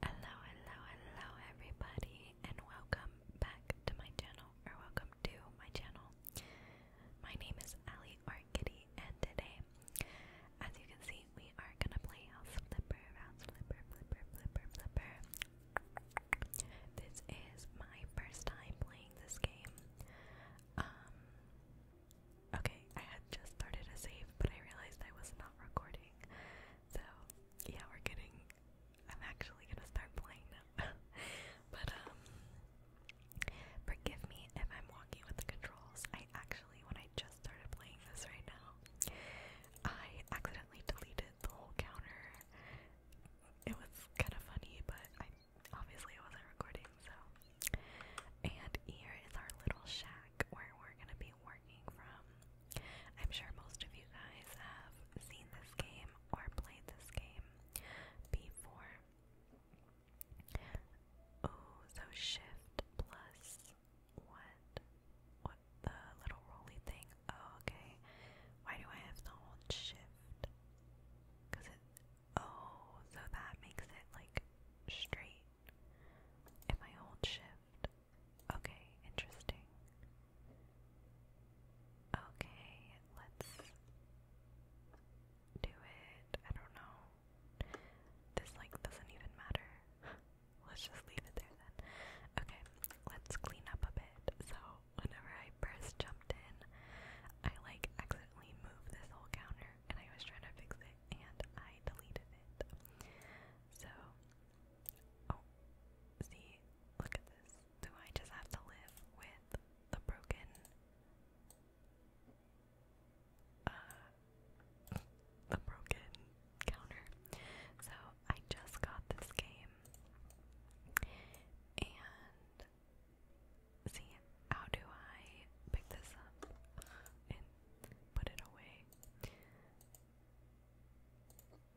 Hello, hello, hello, everybody, and welcome back to my channel, or welcome to my channel. My name is Ali or and today, as you can see, we are gonna play House Flipper, House Flipper, Flipper, Flipper, Flipper. This is my first time playing this game. Um, okay, I had just started a save, but I realized I was not recording. So yeah, we're getting. I'm actually gonna start playing now. but um, forgive me if I'm walking with the controls. I actually, when I just started playing this right now, I accidentally deleted the whole counter. It was kind of funny, but I obviously it wasn't recording. So, and here is our little shack where we're gonna be working from. I'm sure most of you guys have seen this game or played this game before. Oh, so shift plus what? What the little roly thing? Oh, okay. Why do I have to hold shift? Cause it. Oh, so that makes it like straight. If I hold shift, Okay, interesting. Okay, let's do it. I don't know. This like doesn't even matter. let's just leave it there then. Okay, let's clean up a bit. So whenever I first jumped in, I like accidentally moved this whole counter and I was trying to fix it and I deleted it. So Oh, see, look at this. Do I just have to live with the broken? Uh, the broken counter. So I just got this game, and see how do I pick this up and put it away?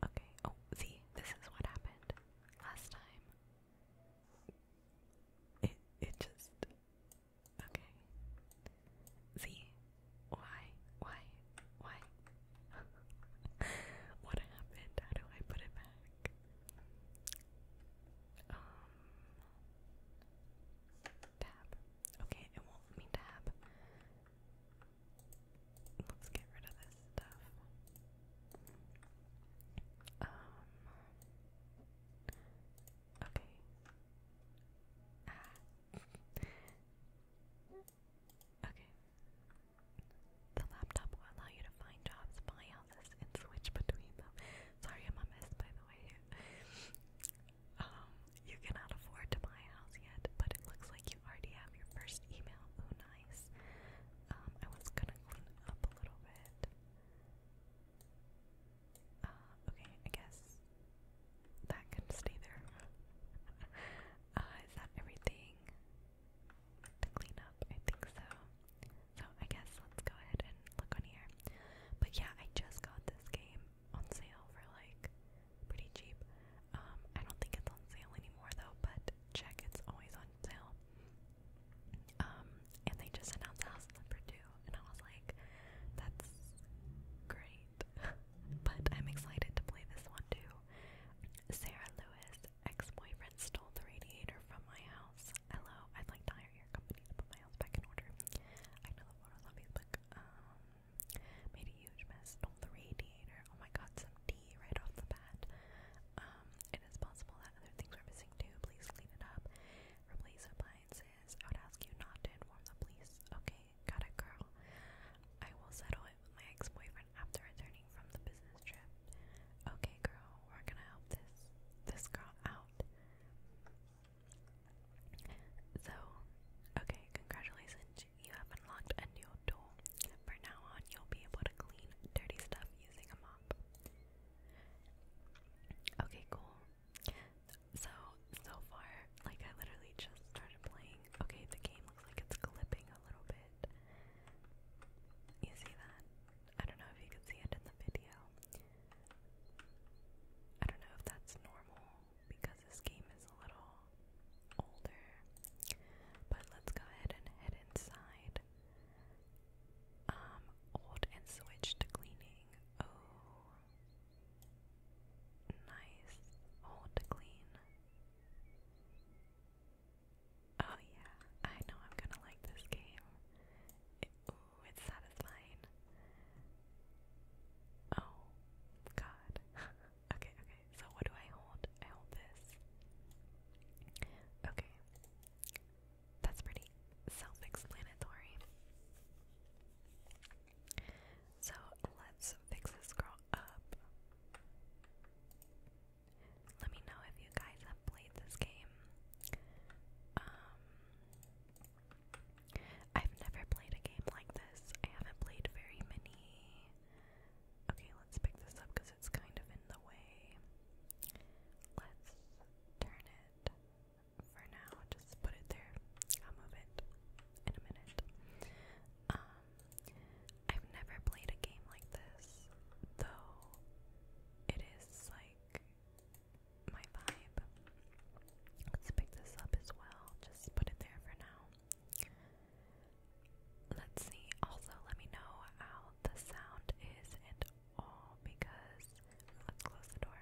Okay, oh, see, this is what happened last time. It, it just, okay. See, why, why, why? what happened? How do I put it back? Um, tab. Okay, it won't let me Let's get rid of this stuff. Um. Okay. Ah. okay. The laptop will allow you to find jobs, buy houses, and switch between them. Sorry, I'm a mess, by the way. Um, you cannot afford to buy a house yet, but it looks like you already have your first email. Oh, nice. Um, I was gonna clean up a little bit. Uh, okay, I guess that can stay there. uh, is that everything to clean up? I think so. So I guess let's go ahead and look on here. But yeah, I just got this game on sale for like pretty cheap. Um, I don't think it's on sale anymore though, but check it's always on sale. Um, and they just announced the house number two, and I was like, that's great. but I'm excited to play this one too. Sarah Lewis, ex boyfriend, stole the radiator from my house. Hello, I'd like to hire your company to put my house back in order. I know the photo's on Facebook. Um, Made a huge mess. Stole the radiator. Oh my god, some tea right off the bat. Um, it is possible that other things were missing too. Please clean it up. Replace appliances. I would ask you not to inform the police. Okay, got it, girl. I will settle it with my ex-boyfriend after returning from the business trip. Okay, girl, we're gonna help this this girl out. So, okay, congratulations, you have unlocked a new tool. For now on, you'll be able to clean dirty stuff using a mop. Okay, cool. So, so far, like I literally just started playing. Okay, the game looks like it's clipping a little bit. You see that? I don't know if you can see it in the video. I don't know if that's normal because this game is a little older. But let's go ahead and head inside. Um, old and switch cleaning. Oh, nice. Old clean. Oh yeah, I know I'm gonna like this game. ooh, it's satisfying. Oh, God. Okay, okay, so what do I hold? I hold this. Okay. That's pretty self-explanatory. So let's fix this girl up. Let me know if you guys have played this game. Um, I've never played a game like this. I haven't played very many. Okay, let's pick this up because it's kind of in the way. Let's turn it for now. Just put it there. I'll move it in a minute. Um, I've never played a game like this, though it is like my vibe. Let's pick this up as well. Just put it there for now. Let's see. Also, let me know how the sound is and all because let's close the door.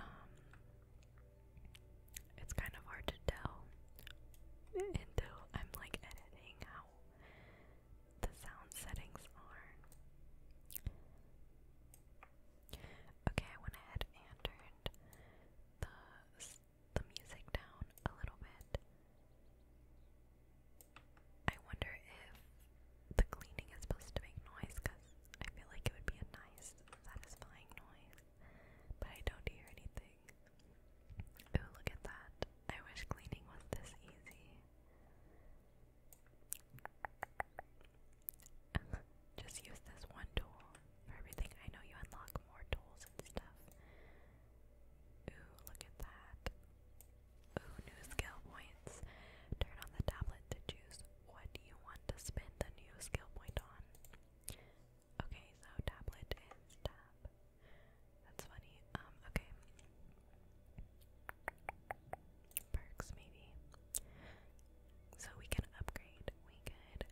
Um, it's kind of hard to tell until I'm like editing how the sound settings are. Okay, I went ahead and turned the the music down a little bit. I wonder if the cleaning is supposed to make noise because I feel like it would be a nice, satisfying noise, but I don't hear anything. Ooh, look at that. I wish cleaning was this easy. Just use this one tool for everything. I know you unlock more tools and stuff. Ooh, look at that. Ooh, new skill points. Turn on the tablet to choose what you want to spend the new skill point on. Okay, so tablet is tab. That's funny. Um, okay. Perks, maybe. So we can upgrade. We could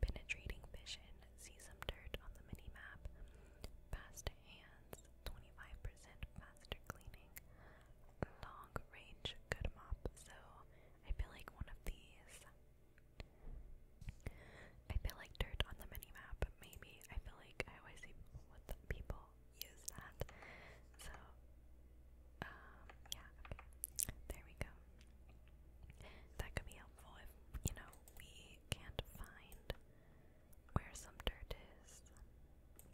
penetrating vision, see some dirt on the mini map, fast hands, 25% faster cleaning, long range good mop. So I feel like one of these. I feel like dirt on the mini map, maybe. I feel like I always see what people use that. So, um, yeah, There we go. That could be helpful if, you know, we can't find where some dirt is. And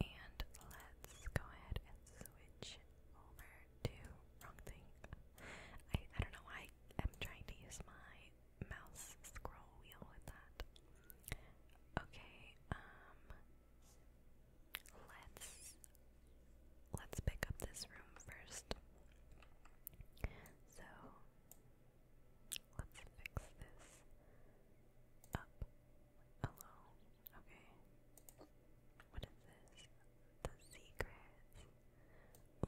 let's go ahead and switch over to wrong thing. I, I don't know I'm trying to use my mouse scroll wheel with that. Okay, um Let's let's pick up this room first. So let's fix this up. Hello. Okay. What is this? The secrets.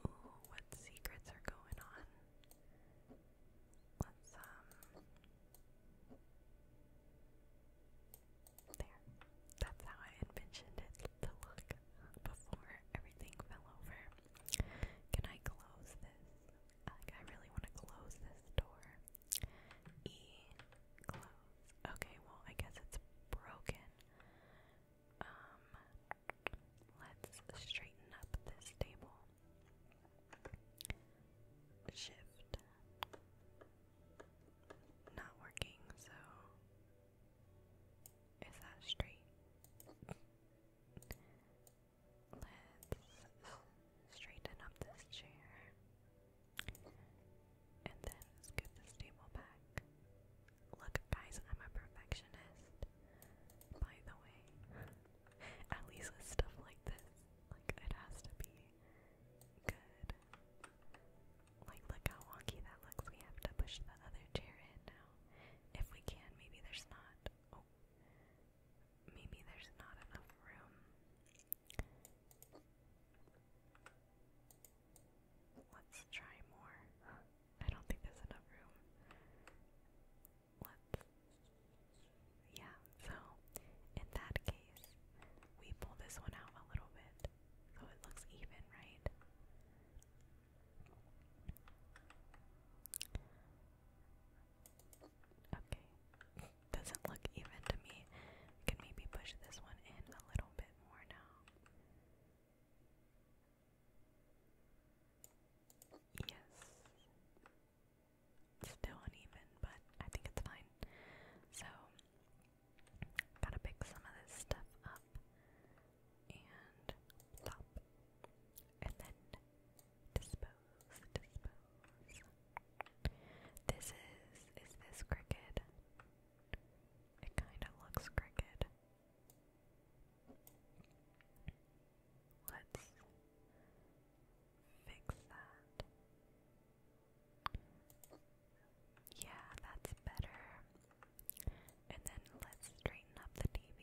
Ooh, what secrets are going on? Let's um there. That's how I had mentioned it to look before everything fell over. Can I close this? Like, I really want to close this door. E, close. Okay, well, I guess it's broken. Um, let's straighten up this table. Shift not working, so is that straight? Let's straighten up this chair. And then scoop this table back. Look, guys, I'm a perfectionist. By the way, at least with stuff like this, like it has to be good. Like, look how wonky that looks. We have to push the other chair in now. If we can, maybe there's not. Oh. Maybe there's not enough room. Let's try more. I don't think there's enough room. Let's. Yeah, so in that case, we pull this one out a little bit so it looks even, right? Okay. Doesn't look even to me. can maybe push this one in a little bit more now. Yes. Still uneven, but I think it's fine. So Gotta pick some of this stuff up and And then dispose, dispose. This is, is this cricket? It kinda looks cricket. Let's fix that. Yeah, that's better. And then let's straighten up the TV.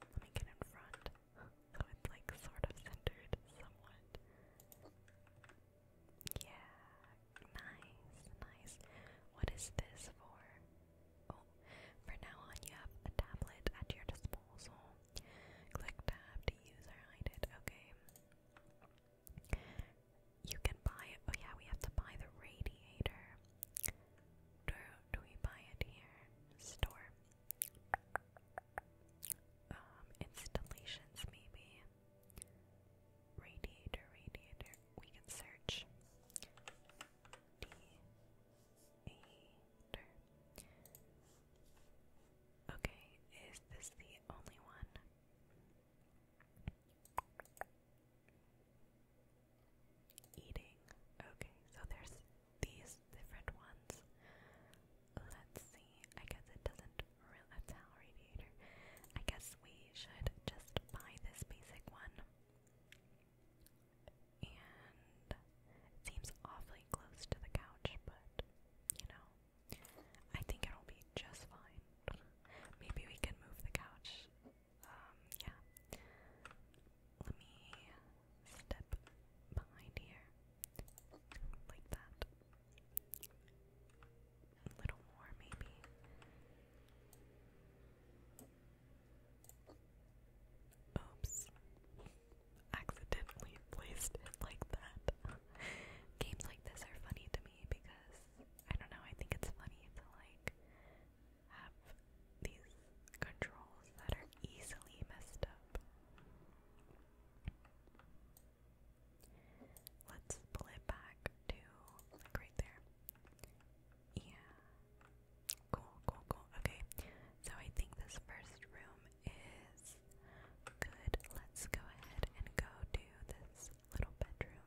Let me get in front so it's like sort of centered somewhat. Yeah, nice, nice. What is this for? for now on, you have a tablet at your disposal. Click tab to use or hide it. Okay. You can buy. Oh yeah, we have to buy the radiator. Do do we buy it here? Store. Um, installations maybe. Radiator, radiator. We can search. Okay, is this the only one? Eating. Okay, so there's these different ones. Let's see. I guess it doesn't really. radiator. I guess we should just buy this basic one. And it seems awfully close to the couch, but you know, I think it'll be just fine. Maybe we can move the couch. Um, yeah. Let me step behind here. Like that. A little more, maybe. Oops. Accidentally placed it like that. Games like this are funny to me because I don't know, I think it's funny to like have these controls that are easily messed up. Let's pull it back to like right there. Yeah. Cool, cool, cool. Okay, so I think this first room is good. Let's go ahead and go to this little bedroom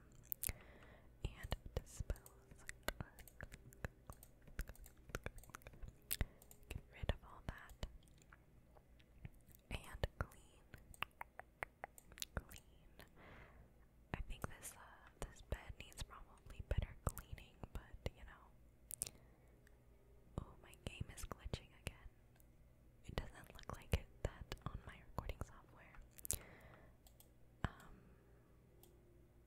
and dispose. Get rid of all that and clean. Clean. I think this uh, this bed needs probably better cleaning, but you know, Oh, my game is glitching again. It doesn't look like it that on my recording software. Um,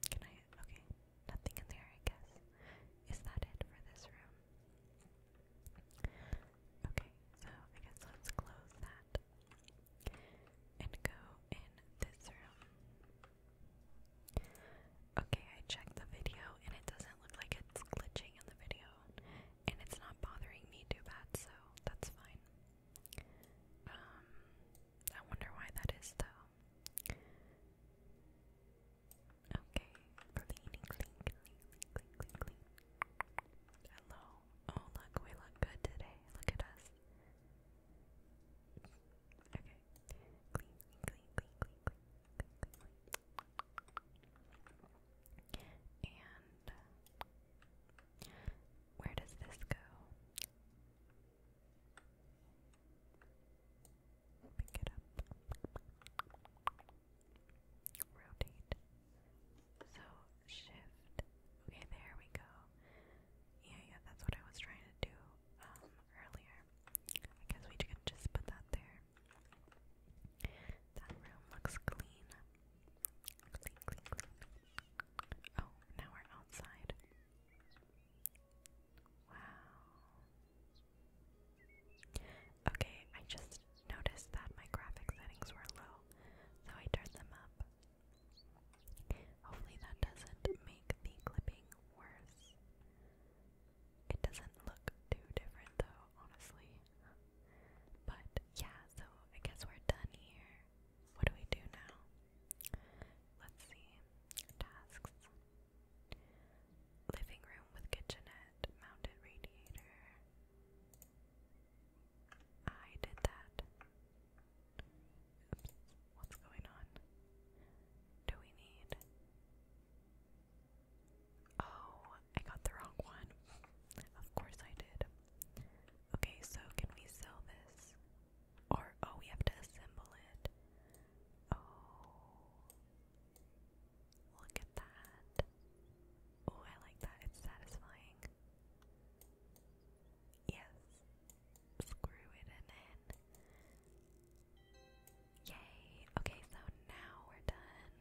can I? Okay, nothing in there, I guess. Is that it for this room? Okay, so I guess let's close that and go in this room. Okay, I checked the video and it doesn't look like it's glitching in the video. And it's not bothering me too bad, so that's fine. Um, I wonder why that is though. Okay, cleaning, clean, clean, clean, clean, clean. Hello. Oh, look, we look good today. Look at us. Okay. Clean, clean, clean, clean, clean, clean, clean, And where does this go? Pick it up. Rotate. So shift. Okay, there we go. Yeah, yeah, that's what I was trying to do um, earlier. I guess we can just put that there. That room looks clean. Oh, now we're outside. Wow. Okay, I just noticed that my graphic settings were low, so I turned them up. Hopefully, that doesn't make the clipping worse. It doesn't look too different though, honestly. But yeah, so I guess we're done here. What do we do now? Let's see. Tasks. Living room with kitchenette, mounted radiator. I did that what's going on? Do we need. Oh, I got the wrong one. Of course I did. Okay, so can we sell this? Or, oh, we have to assemble it. Oh. Look at that. Oh, I like that. It's satisfying. Yes screw it in. Yay! Okay, so now we're done.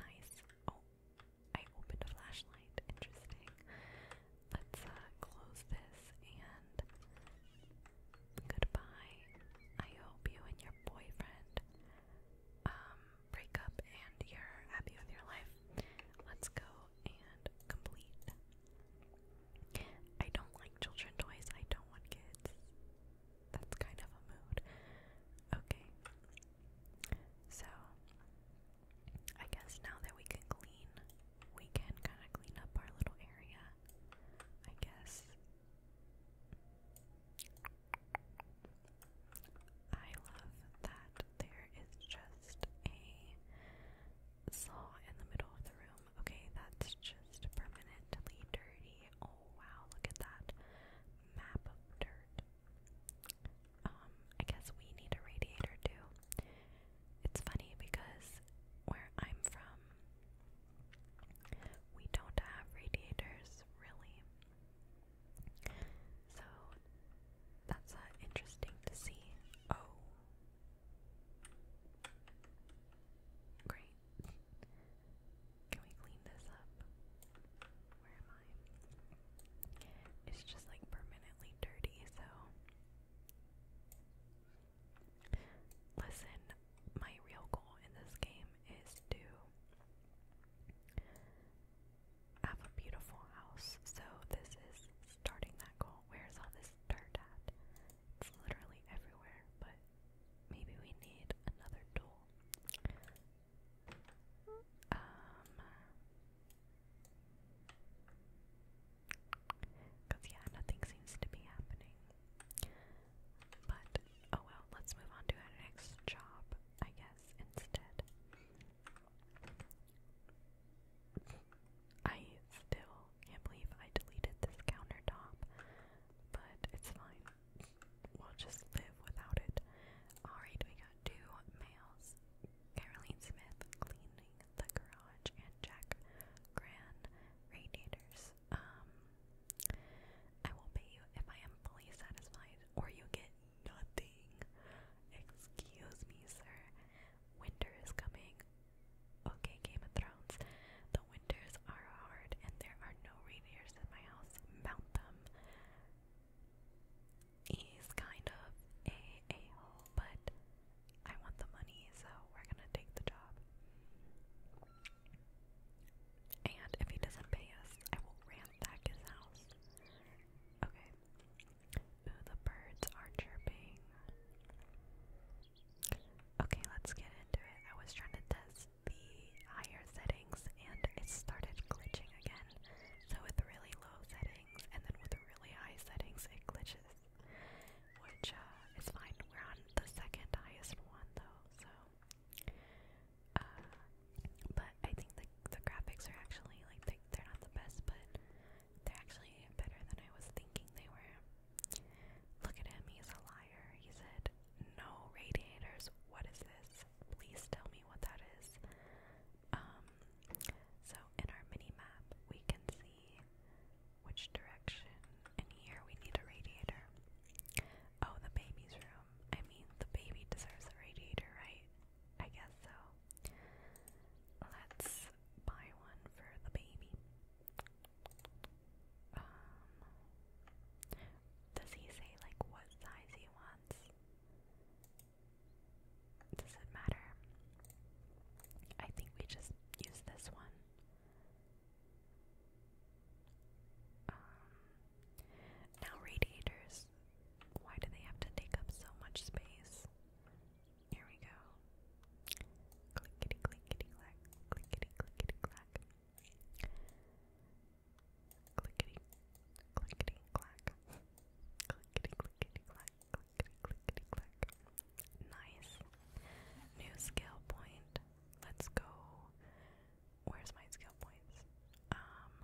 Nice. Oh, I opened a flashlight. Interesting. Let's uh, close this and goodbye. I hope you and your boyfriend um, break up and you're happy with your life. Let's go and complete I don't like children toys. I don't want kids. That's kind of a mood. Okay. So, I guess now that we can clean, we can kind of clean up our little area. I guess. I love that there is just a saw in the middle of the room. Okay, that's just permanently dirty. Oh wow, look at that map of dirt. Um, I guess we need a radiator too. It's funny because where I'm from, we don't have radiators really. So that's uh, interesting to see. Oh, Great. Can we clean this up? Where am I? It's just like permanently dirty, so. Listen, my real goal in this game is to have a beautiful house. So this is starting that goal. Where's all this dirt at? It's literally everywhere, but maybe we need another tool. Um, cause yeah, nothing seems to be happening. But oh well, let's move on to our next job, I guess, instead. I still can't believe I deleted this countertop, but it's fine. We'll just live without it. Alright, we got two males Caroline Smith cleaning the garage and Jack Gran radiators. Um, I will pay you if I am fully satisfied, or you get nothing. Excuse me, sir. Winter is coming. Okay, Game of Thrones. The winters are hard and there are no reindeers in my house. Mount them. He's kind of a a hole, but I want the money, so we're gonna take the job. And if he doesn't pay us, I will ransack his house. Okay. the birds are chirping. Okay, let's get into it. I was trying to test the higher settings and it started glitching again. So with really low settings and then with really high settings it glitches. Which uh, is fine. We're on the second highest one though, so uh, but I think the the graphics are actually like they, they're not the best, but they're actually better than I was thinking they were. Look at him, he's a liar. He said, No radiators. What is this? Please tell me what that is. Um, so in our mini map, we can see which direction, and here we need a radiator. Oh, the baby's room. I mean, the baby deserves a radiator, right? I guess so. Let's buy one for the baby. Um, does he say like what size he wants? Does it matter? I think we just use this one. Um, now radiators. Why do they have to take up so much space? Here we go. Clickety, clickety, clack, clickety, clickety, clack. Clickety, clickety, clack. Clickety, clickety, clack, clickety, clickety, clack. Nice. New skill point. Let's go. Where's my skill points? Um,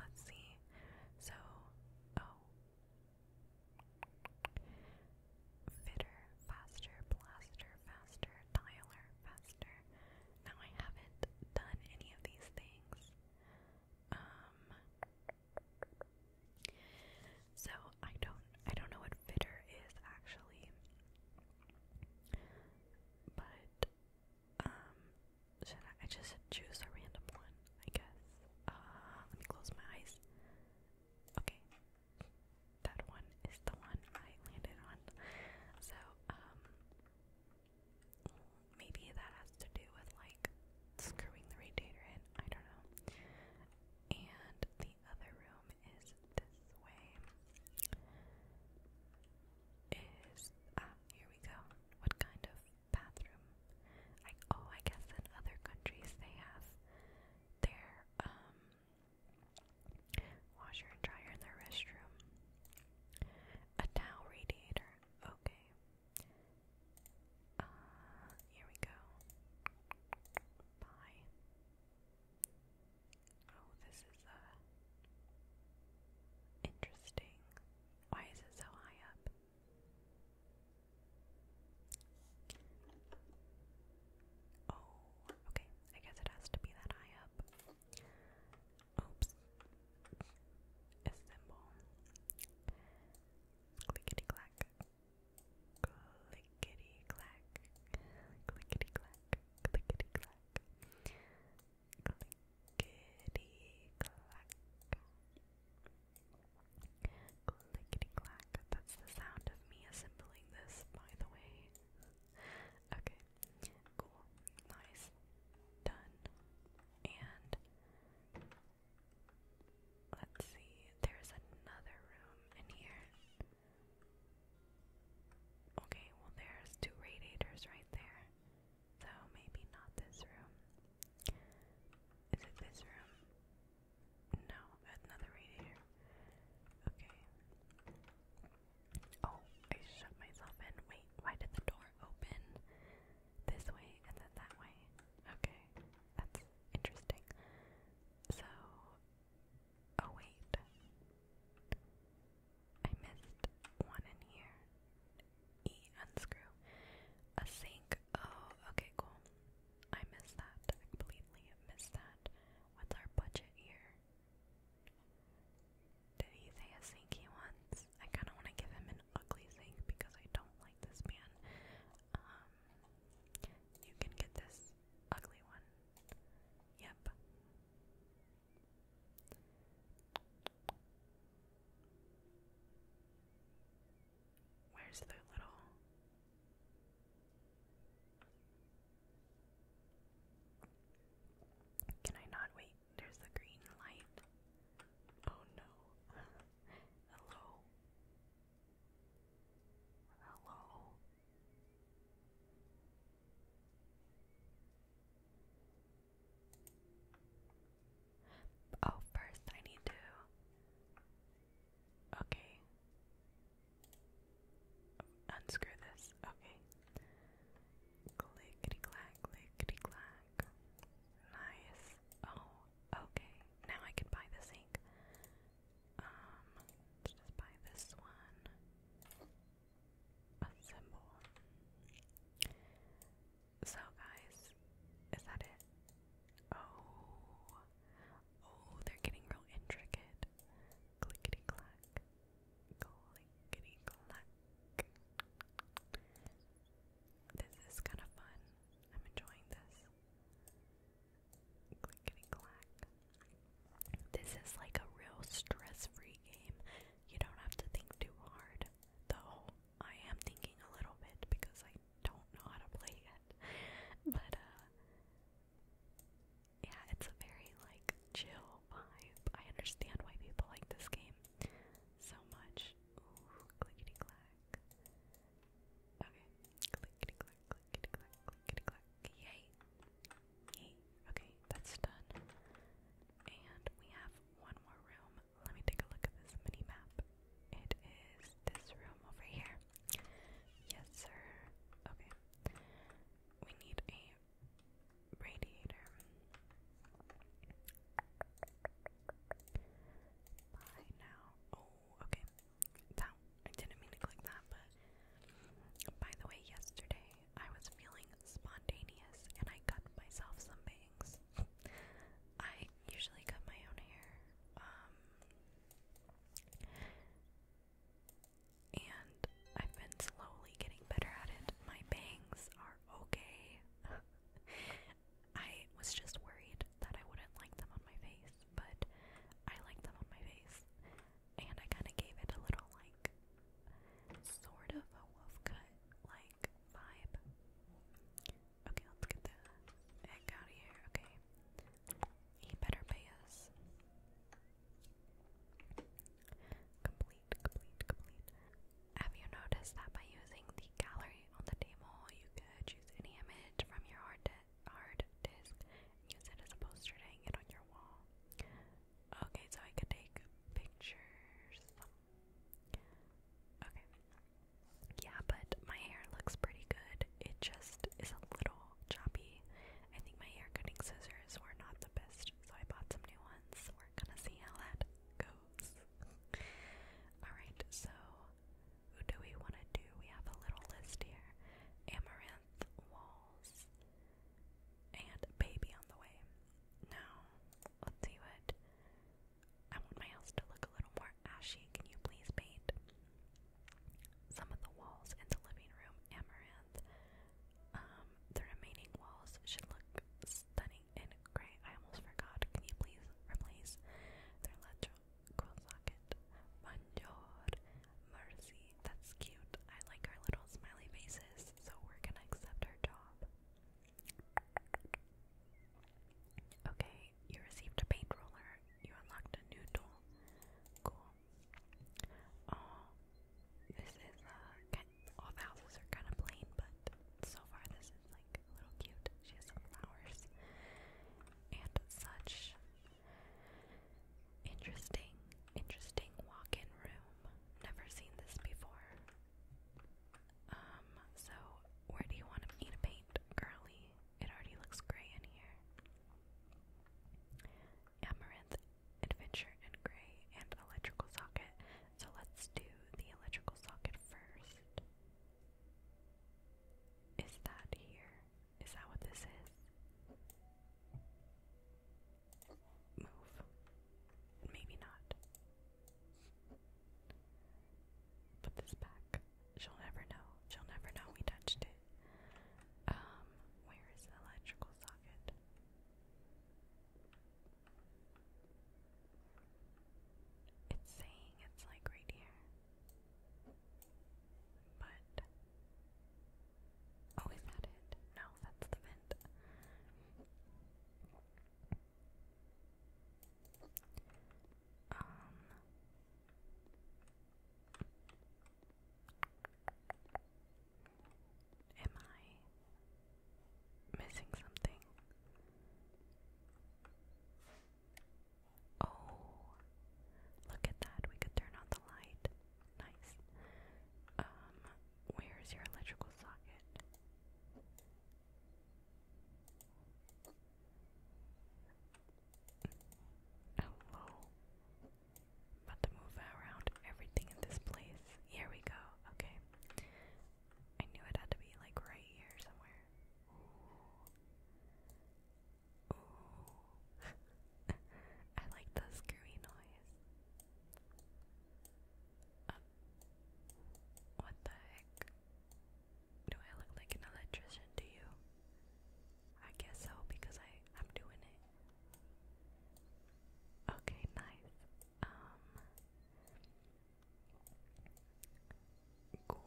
let's see. So, oh fitter, faster, blaster, faster, dialer, faster. Now I haven't done any of these things. Um so I don't I don't know what fitter is actually. But um should I, just choose a random one, I guess. Uh, let me close my eyes. Okay, that one is the one I landed on. So, um, maybe that has to do with like screwing the radiator in. I don't know. And the other room is this way. Is ah here we go. What kind of bathroom? I oh I guess in other countries they have their um Washer and dryer in their restroom. A towel radiator. Okay. Uh, here we go. Bye. Oh, this is uh interesting. Why is it so high up? Oh, okay. I guess it has to be that high up. Oops. A symbol. clack. Clickety clack. Clickety clack. Clickety clack. Clickety clack. Clickety clack. That's the sound of me assembling this, by the way okay, cool, nice, done. And let's see, there's another room in here. Okay, well, there's two radiators right there, so maybe not this room. Is it this room? No, add another radiator. Okay. Oh, I shut myself in. Wait, why did the door open this way and then that way? Okay, that's interesting. So, oh wait. I missed one in here. E, unscrew. A sink. Oh, okay, cool. I missed that. completely missed that. What's our budget here? Did he say a sink he wants? I kind of want to give him an ugly sink because I don't like this man. Um, you can get this ugly one. Yep. Where's the little can I not wait? There's the green light. Oh no. Hello. Hello. Oh, first I need to. Okay unscrew this. Okay. Clickety clack, clickety clack. Nice. Oh, okay. Now I can buy this ink. Um, just buy this one. A So, guys, is that it? Oh, oh, they're getting real intricate clickety clack, clickety clack. This is kind of fun. I'm enjoying this. Clickety clack. This is like a real stress free game. You don't have to think too hard, though I am thinking a little bit because I don't know how to play it. But, uh, yeah, it's a very like chill vibe. I understand why people like this game so much. Ooh, clack. Okay, clickety clack, clickety clack, clickety clack. Yay! Yay! Okay, that's done. And we have one more room. Let me take a look at this mini map. It is this room over here. Yes, sir. Okay we need a radiator. Bye now. Oh, okay. That I didn't mean to click that, but by the way, yesterday I was feeling spontaneous and I cut myself some bangs. I usually cut my own hair. Um, and I've been slowly getting better at it. My bangs are okay. I was just worried that I wouldn't like them on my face, but I like them on my face. And I kind of gave it a little, like, sort of a wolf cut, like, vibe. Okay, let's get the heck out of here. Okay. He better pay us. Have you noticed that by using the gallery on the table, you could choose any image from your hard, hard disk use it as a poster to hang it on your wall? Okay, so I could take pictures. Okay. Yeah, but my hair looks pretty good. It just is a little choppy I think my hair cutting scissors were not the best, so I bought some new ones. We're gonna see how that goes. Alright, so who do we want to do? We have a little list here Amaranth Walls and Baby on the Way. Now, let's see what. I want my house to look a little more ashy. Can you please paint? some of the walls in the living room amaranth. Um, the remaining walls should look stunning in gray. I almost forgot. Can you please replace their electrical socket? Bonjour, mercy. That's cute. I like our little smiley faces, so we're gonna accept our job. Okay, you received a paint roller. You unlocked a new tool. Cool. Oh, this is uh, kind of, all the houses are kind of plain, but so far this is like a little cute. She has some flowers and such. Interesting, interesting walk-in room. Never seen this before. Um, so where do you want me to paint, girly? It already looks gray in here. Amaranth adventure and gray and electrical socket. So let's do the electrical socket first. Is that here? Is that what this is? Move. Maybe not. Put this back. She'll never know. She'll never know we touched it. Um, where is the electrical socket? It's saying it's like right here. But. Oh, is that it? No, that's the vent. Um. Am I missing something? Oh, look at that. We could turn on the light. Nice. Um, where's your electrical socket? Hello. About to move around everything in this place. Here we go. Okay. I knew it had to be like right here somewhere. Ooh. Ooh. I like the screwy noise. Um, what the heck? Do I look like an electrician to you? I guess so because I I'm doing it. Okay, nice. Um, cool.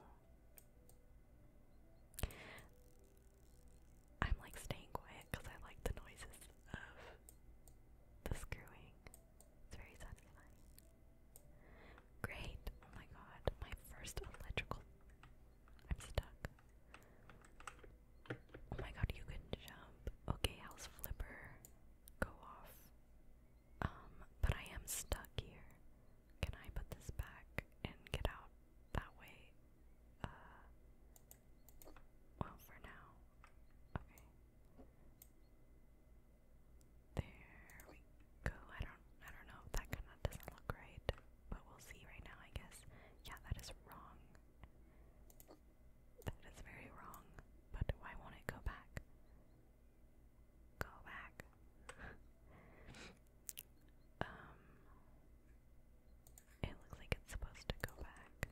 I'm like staying quiet because I like the noises of the screwing. It's very satisfying. Great. Oh my god, my first electrical I'm stuck. Oh my god, you can jump. Okay, House Flipper, go off. Um, but I am stuck here. Can I put this back and get out that way? Uh, well, for now. Okay. There we go. I don't, I don't know. That kind of doesn't look right, but we'll see right now, I guess. Yeah, that is wrong. That is very wrong, but why won't it go back? Go back. um, it looks like it's supposed to go back.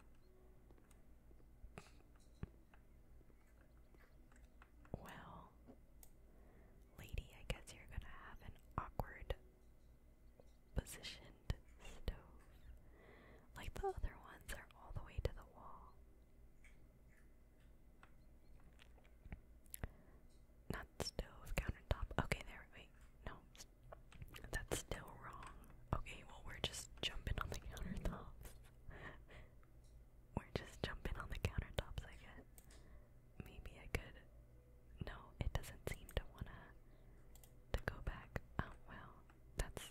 Well, lady, I guess you're gonna have an awkward positioned stove. Like the other ones are all the way to the wall. Not stove, countertop. Okay, there, wait. No, that's still wrong. Okay, well, we're just jumping on the countertops. we're just jumping on the countertops, I guess. Maybe I could no, it doesn't seem to wanna to go back. Um, well, that's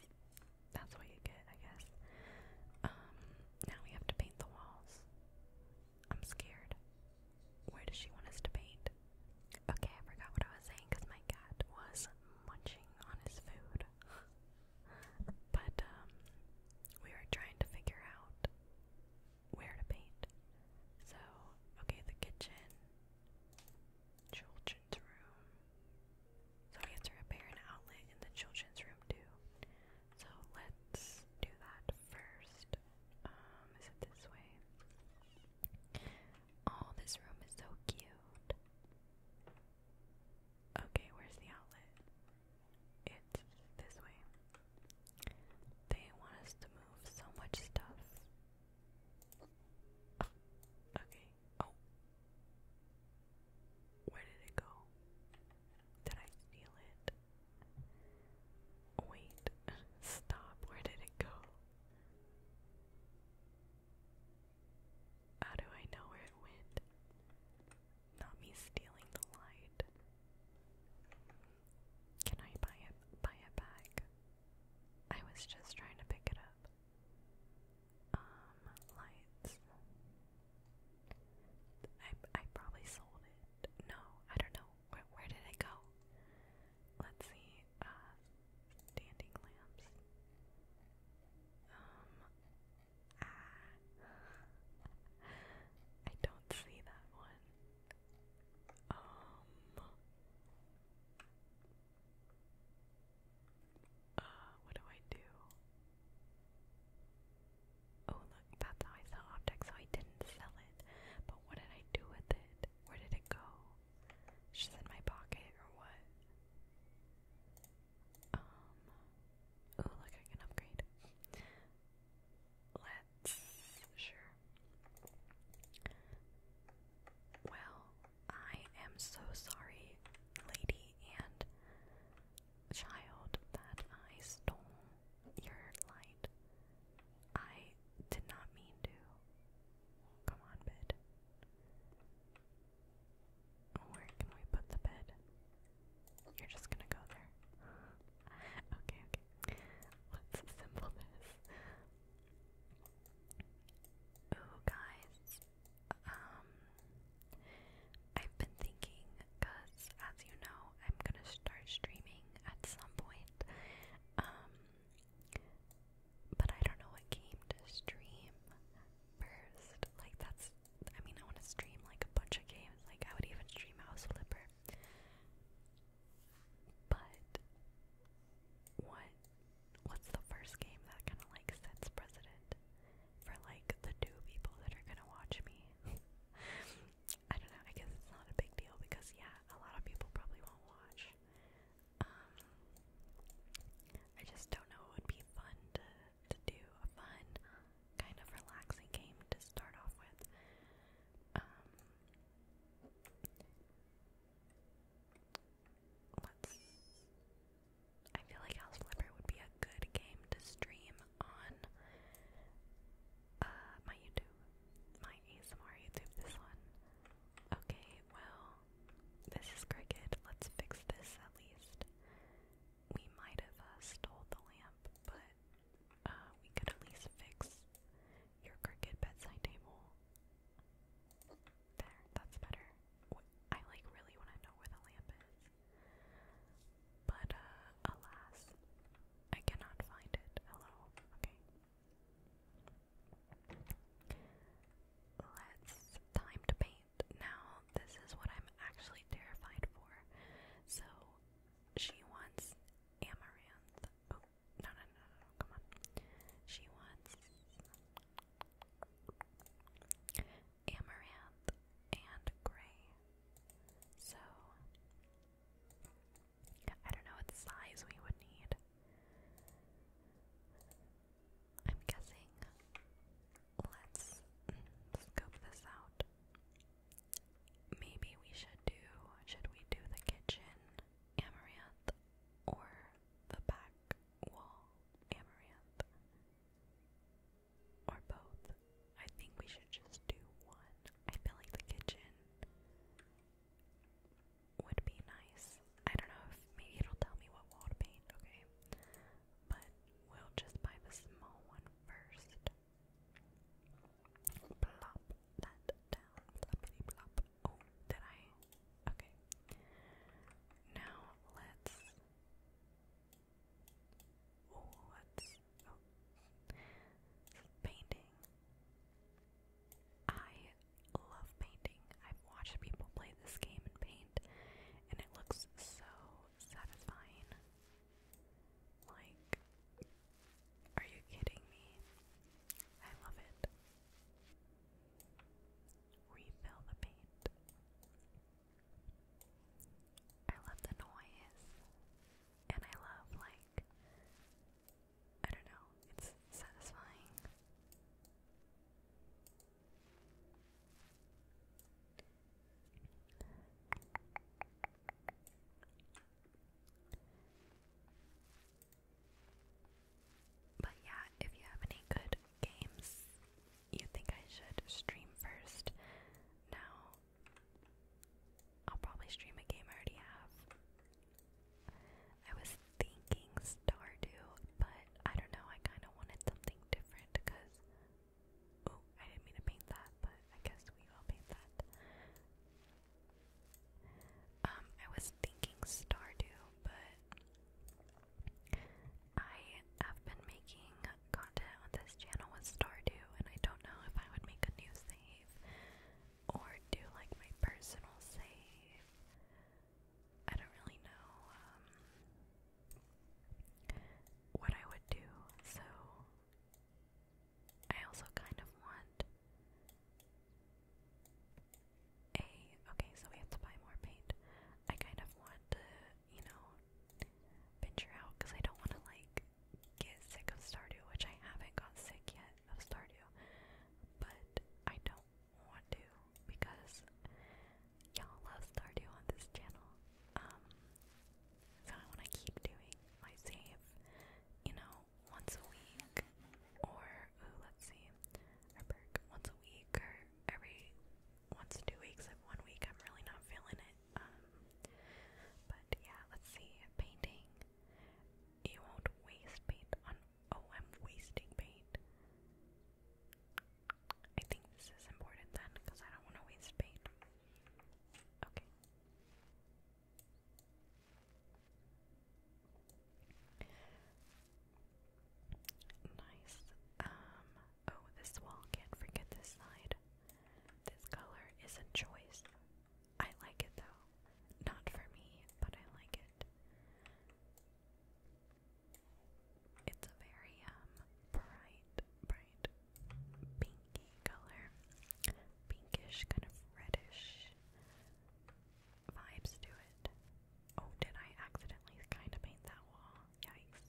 that's what you get, I guess. Um, now we have to paint the walls. I'm scared. Where does she want us to paint? Okay, I forgot what I was saying because my cat was munching on his food. but um, we were trying to figure out where to paint. So, okay, the kitchen children's room. So we have to repair an outlet in the children's room too. So let's do that first. Um, is it this way? Oh, this room is so cute. Okay, where's the outlet? It's this way. They want us to move so much stuff. Okay. Oh. Where did it go? Did I steal it? Wait. Stop. Where did it go? How do I know where it went? Not me stealing the light. Can I buy it buy it back? I was just trying to pick it up. Um, lights. I I probably sold it. No, I don't know. Where did it go? Let's see. Uh, standing lamps. Um. Ah. I don't see that one. Um. Uh, what do I do? Oh, look, that's how I sell so I didn't sell it. But what did I do with it? Where did it go? She's in my pocket, or what? Um, oh, look, I can upgrade. Let's, sure. Well, I am so sorry, lady and child, that I stole your light. I did not mean to. Come on, bed. Where can we put the bed? You're just gonna go there. okay, okay. Let's assemble this. Ooh, guys. Um, I've been thinking, because as you know, I'm gonna start streaming at some point. Um, but I don't know what game to stream first. Like, that's, I mean, I wanna stream like a bunch of games. Like, I would even stream House Flipper. But, what what's the first game that kind of like sets precedent for like the two people that are gonna watch me? I don't know. I guess it's not a big deal because yeah, a lot of people probably won't watch. Um, I just don't know. It would be fun to to do a fun, kind of relaxing game to start off with. Um, Let's. I feel like House Flipper would be a good game to stream on uh, my YouTube, my ASMR YouTube. This one. Okay, well, this is Cricket. Let's fix this at least. We might have uh, stole the lamp, but uh, we could at least fix your Cricket bedside table. There, that's better. I like really want to know where the lamp is. But, uh, alas, I cannot find it. Hello? Okay. Let's time to paint. Now, this is what I'm actually terrified for. So, she wants amaranth. Oh, no, no, no, no, come on. She wants amaranth and gray. So, I don't know what size we would need. I'm guessing. Let's scope this out. Maybe we should do. Should we do the kitchen amaranth or the back wall amaranth. Or both. I think we should just do one. I feel like the kitchen would be nice. I don't know if maybe it'll tell me what wall to paint, okay? But we'll just buy the small one first. Plop that down. Ploppity plop. Oh, did I? Okay. Now let's. Oh, what's painting? I love painting. I've watched people play this game and paint, and it looks so satisfying. Like, are you kidding me? I love it refill the paint. I love the noise, and I love, like, I don't know, it's satisfying. But yeah, if you have any good games you think I should stream first now, I'll probably stream a game I already have. I was thinking Star Stardew, but I don't know, I kind of wanted something different because. Oh, I didn't mean to paint that, but I guess we will paint that. Um, I was thinking Stardew, but I have been making content on this channel with Stardew, and I don't know if I would make a new save or do like my personal save. I don't really know um, what I would do, so I also kind of want a okay, so we have to buy more paint. I kind of want to, you know, venture out because I don't want to like get sick of Stardew, which I haven't got sick yet of Stardew, but I don't want to because y'all love Stardew on this channel. Um, so I want to keep doing my save, you know, once a week or let's see, I once a week or every once two weeks. Like one week, I'm really not feeling it. Um, but yeah, let's see, painting. You won't waste paint on. Oh, I'm wasting paint. I think this is important then, because I don't want to waste paint. Okay. Nice. Um, oh, this wall, can't forget this side. This color is a choice. I like it though. Not for me, but I like it. It's a very, um, bright, bright pinky color. Pinkish, kind of reddish vibes to it. Oh, did I accidentally kind of paint that wall? Yikes.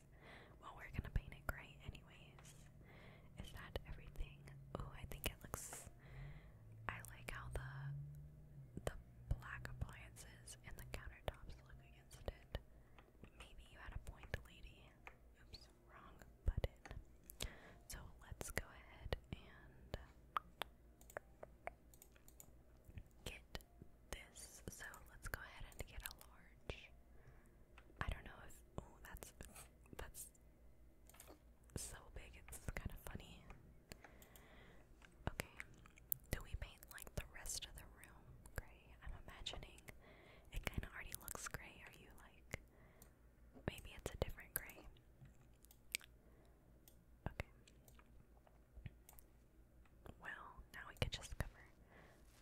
Well, we're gonna paint it gray anyways. Is that everything? Ooh, I think it looks... I like how the the black appliances and the countertops look against it. Maybe you had a point, lady. Oops, wrong button. So let's go ahead and get this. So let's go ahead and get a large. I don't know if that's that's so big it's kind of funny. Okay. Do we paint like the rest of the room gray? I'm imagining it kind of already looks gray. Are you like maybe it's a different gray? Okay. Well, now we could just cover.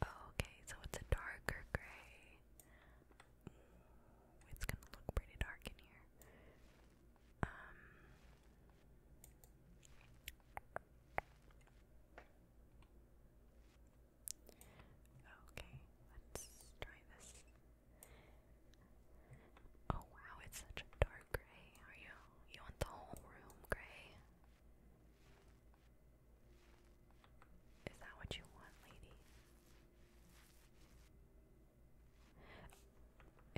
Oh, okay, so it's a darker gray. it's gonna look pretty dark in here. Um, okay, let's try this. Oh wow, it's such a dark Gray? Are you you want the whole room, Gray? Is that what you want, lady?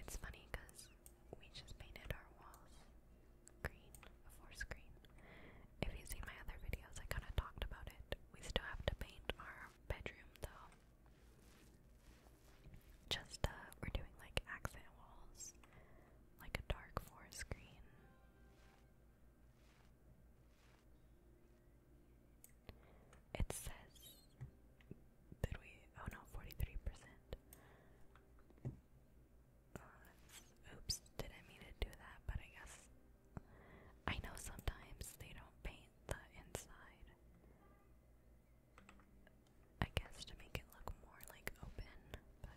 It's funny because we just painted our walls green before screen. If you've my other videos, I kind of talked about it. We still have to paint our bedroom though just uh we're doing like accent walls, like a dark forest green. It says did we oh no, 43%. Uh, oops, didn't mean to do that, but I guess I know sometimes they don't paint the inside. I guess to make it look more like open, but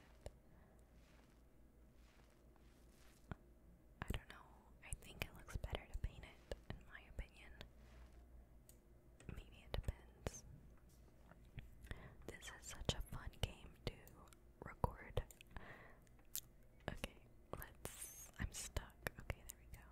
I don't know. I think it looks better to paint it, in my opinion. Maybe it depends. This is such a fun game to record. Okay, let's. I'm stuck. Okay, there we go.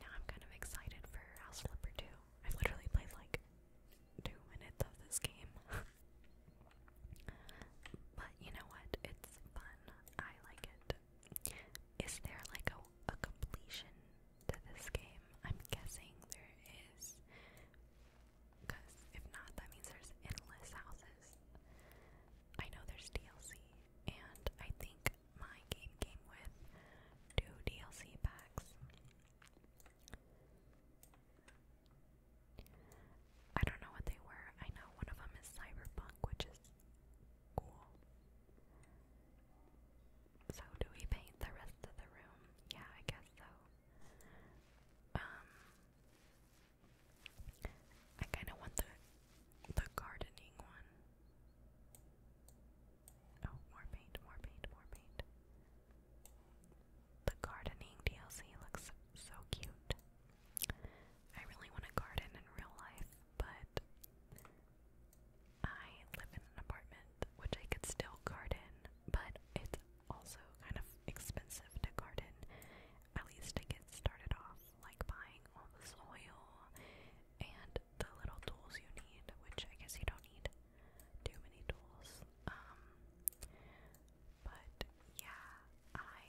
Now I'm kind of excited for House Flipper 2. I've literally played like two minutes of this game. but you know what? It's fun. I like it. Is there like a completion to this game. I'm guessing there is, because if not, that means there's endless houses. I know there's DLC, and I think my game came with two DLC packs. I don't know what they were. I know one of them is Cyberpunk, which is cool. So, do we paint the rest of the room? Yeah, I guess so. Um, I kind of want the the gardening one. Oh, more paint, more paint, more paint. The gardening DLC looks so cute. I really want to garden in real life, but I live in an apartment which I could still garden, but it's also kind of expensive to garden, at least to get started off, like buying all the soil and the little tools you need, which I guess you don't need too many tools. Um, but yeah, I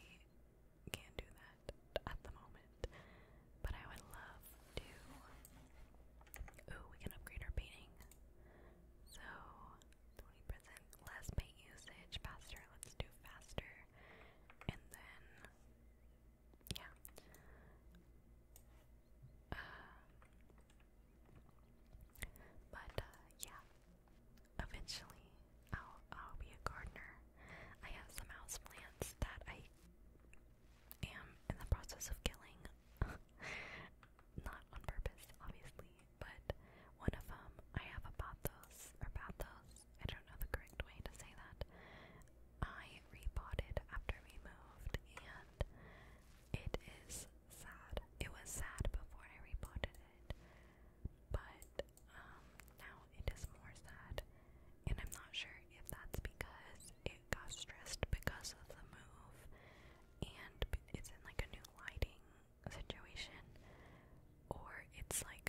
can't do that at the moment. But I would love to. Ooh, we can upgrade our painting. So 20% less paint usage, faster, let's do faster. And then yeah. Uh, but uh, yeah, eventually I'll I'll be a gardener. I have some house plants that I am in the process of killing. Not on purpose, obviously, but one of them, um, I have a bathos, or bathos, I don't know the correct way to say that. I repotted after we moved, and it is sad. It was sad before I repotted it, but um, now it is more sad, and I'm not sure if that's because it got stressed because of the move and it's in like a new lighting situation, or it's like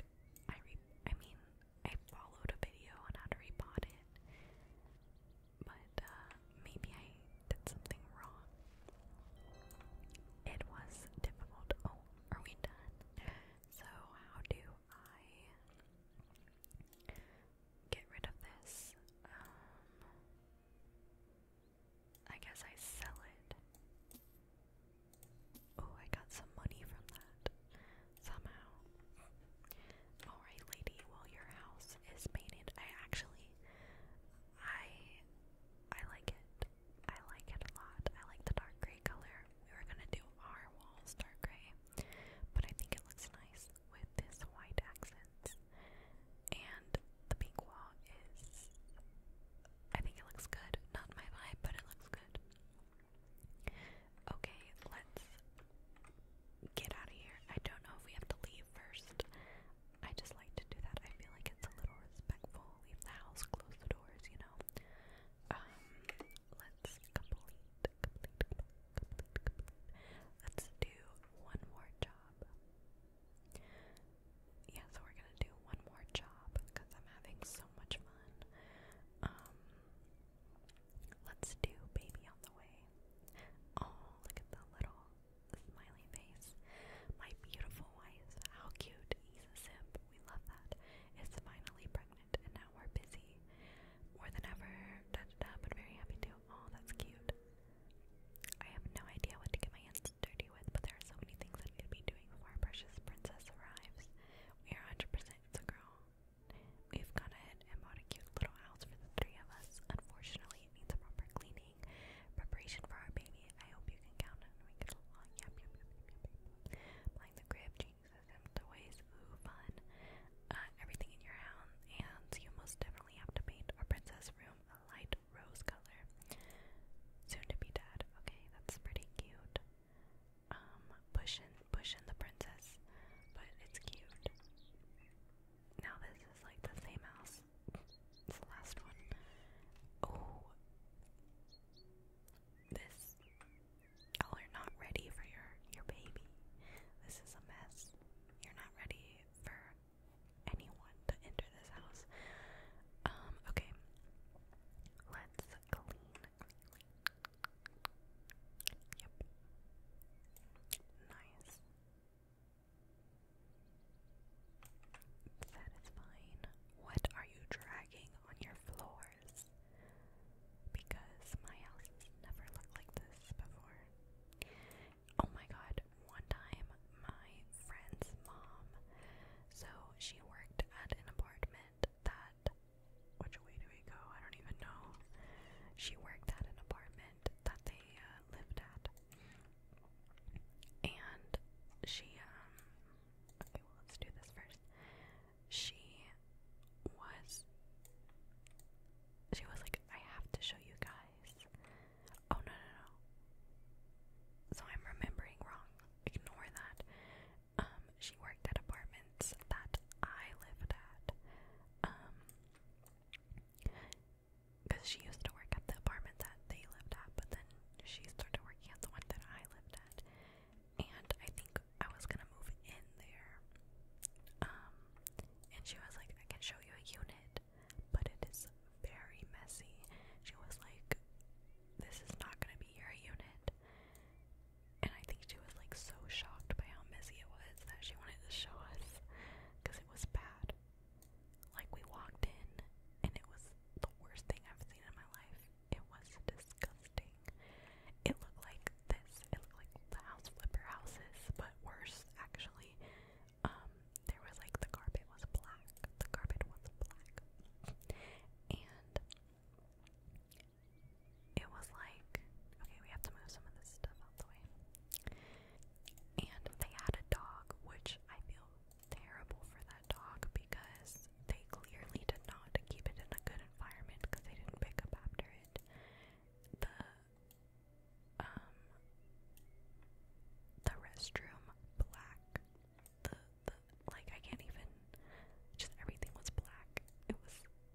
I re I mean I followed a video on how to repot it, but uh, maybe I did something wrong. It was difficult. Oh, are we done? So how do I get rid of this? Um, I guess I sell it. Oh, I got some money from that. Somehow. Alright, lady, well your house is painted. I actually I I like it. I like it a lot. I like the dark gray color. We were gonna do our walls dark gray. But I think it looks nice with this white accents and the pink wall is I think it looks good. Not my vibe, but it looks good. Okay, let's get out of here. I don't know if we have to leave first. I just like to do that. I feel like it's a little respectful. Leave the house, close the doors, you know. Um, let's complete, complete, complete, complete. Let's do one more job. Yeah, so we're gonna do one more job because I'm having so much fun. Um, let's do baby on the way. Oh, look at the little smiley face. My beautiful wife, how cute. He's a simp. We love that. Is finally pregnant, and now we're busy more than ever. Da da da. But very happy to Oh, that's cute. I have no idea what to get my hands dirty with, but there are so many things I could be doing before our precious princess arrives. We are 100% a girl. We've gone ahead and bought a cute little house for the three of us. Unfortunately, it needs a proper cleaning. Preparation for our baby. I hope you can count on we get along. Yep, yep, yep, yep, yep. Playing the crib, changing systems, toys, ooh, fun. Uh, everything in your hands, and you most definitely have to paint our princess room light rose color. Soon to be dead. Okay, that's pretty cute. Um, pushin', pushin' the princess, but it's cute. Now this is like the same house. It's the last one. Oh, this you are not ready for your your baby. This is a mess. You're not ready for anyone to enter this house. Um, okay. Let's clean. Yep. Nice. That is fine. What are you dragging on your floors? Because my house never looked like this before. Oh my god, one time my friend's mom, so she worked at an apartment that which way do we go? I don't even know. She worked at an apartment that they uh, lived at. And she um okay, well, let's do this first. She was she was like I have to show you guys Oh no no no. So I'm remembering wrong. Ignore that. Um, she worked at apartments that I lived at. Um, because she used to work at the apartment that they lived at, but then she started working at the one that I lived at. And I think I was gonna move in there. Um, and she was like, I can show you a unit but it is very messy. She was like, This is not gonna be your unit. And I think she was like so shocked by how messy it was that she wanted to show us because it was bad. Like, we walked in and it was the worst thing I've seen in my life. It was disgusting. It looked like this. It looked like the house flipper houses, but worse, actually um, there was like the carpet was black. The carpet was black. And it was like, okay, we have to move some of this stuff out the way. And they had a dog, which I feel terrible for that dog because they clearly did not keep it in a good environment because they didn't pick up after it um the restroom black. The the like I can't even just everything was black. It was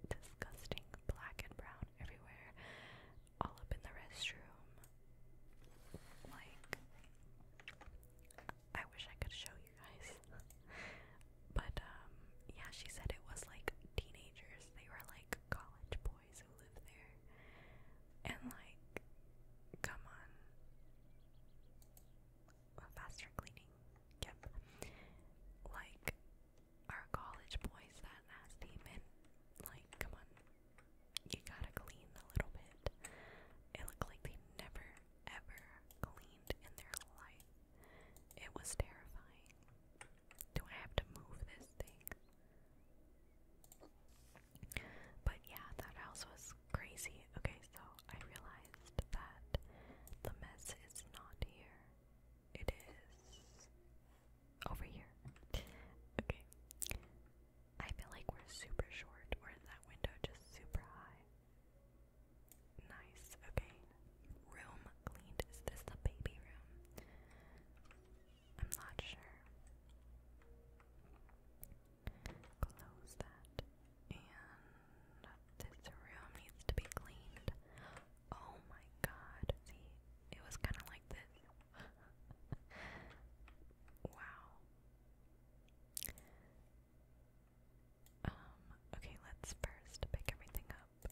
disgusting. Black and brown everywhere. All up in the restroom. Like I wish I could show you guys. But um yeah, she said it was like teenagers. They were like college boys boys who live there. And like, come on. Faster cleaning. Yep. Like, our college boys that nasty, man. Like, come on. You gotta clean a little bit. It looked like they never, ever cleaned in their life. It was terrifying. Do I have to move this thing? But yeah, that house was crazy. Okay, so I realized that the mess is not here. It is over here. Okay. I feel like we're super short, or is that window just super high? Nice. Okay. Room cleaned. Is this the baby room? I'm not sure. Close that. And this room needs to be cleaned. Oh my god. See, it was kind of like this. wow. Um, okay, let's first pick everything up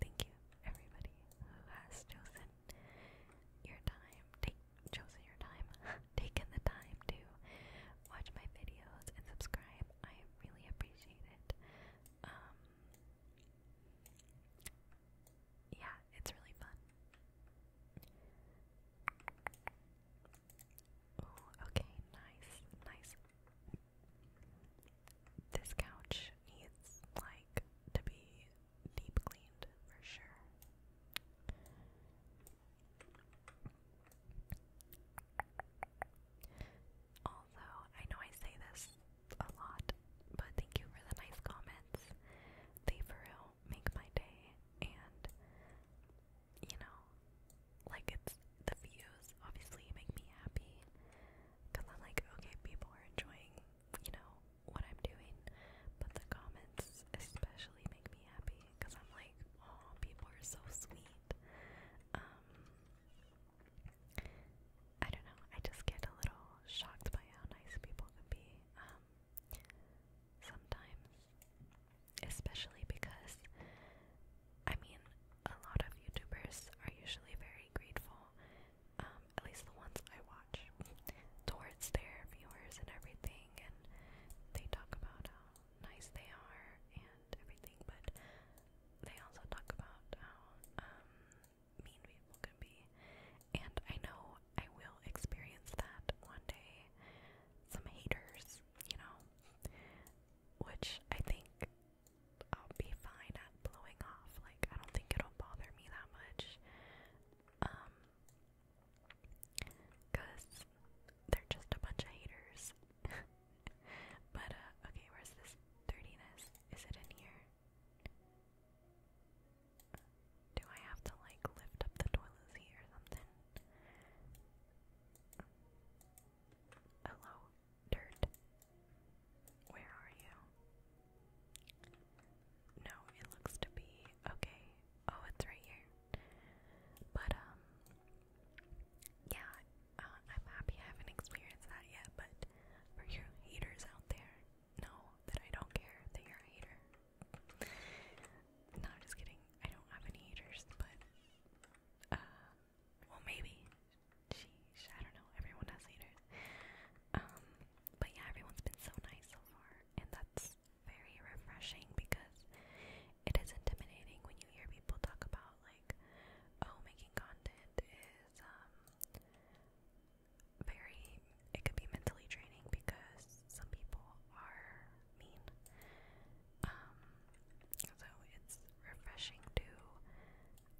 Thank you, everybody who has chosen your time, take, your time, taken the time to watch my videos and subscribe. I really appreciate it. Um, yeah, it's really fun. okay, nice, nice this couch needs, like, to be deep cleaned for sure. Also, I know I say this a lot, but thank you for the nice comments. They for real make my day, and you know, like it's the views obviously make me happy, because I'm like, okay, people are enjoying, you know, what I'm doing, but the comments especially make me happy because I'm like, oh, people are so sweet. Um, I don't know, I just get a little shocked by how nice people can be um, sometimes, especially because I mean, a lot of YouTubers are usually very grateful, um, at least the ones I watch, towards their viewers and everything, and they talk about how nice they are and everything, but they also talk about how um, mean people can be. And I know I will experience that one day. Some haters, you know, which I think I'll be fine at blowing off. Like I don't think it'll bother me that much. Um they they're just a bunch of haters. but uh, okay, where's this dirtiness? Is it in here? Do I have to like lift up the toilet seat or something? Hello. Dirt. Where are you? No, it looks to be okay. Oh, it's right here. But, um, yeah, uh, I'm happy I haven't experienced that yet, but for you haters out there, know that I don't care that you're a hater. no, just kidding. I don't have any haters, but, uh, well, maybe. Geez, I don't know. Everyone has haters. Um, but yeah, everyone's been so nice so far, and that's very refreshing because it is intimidating when you hear people talk about like, oh, making content is um very. It could be mentally draining because some people are mean. Um, so it's refreshing to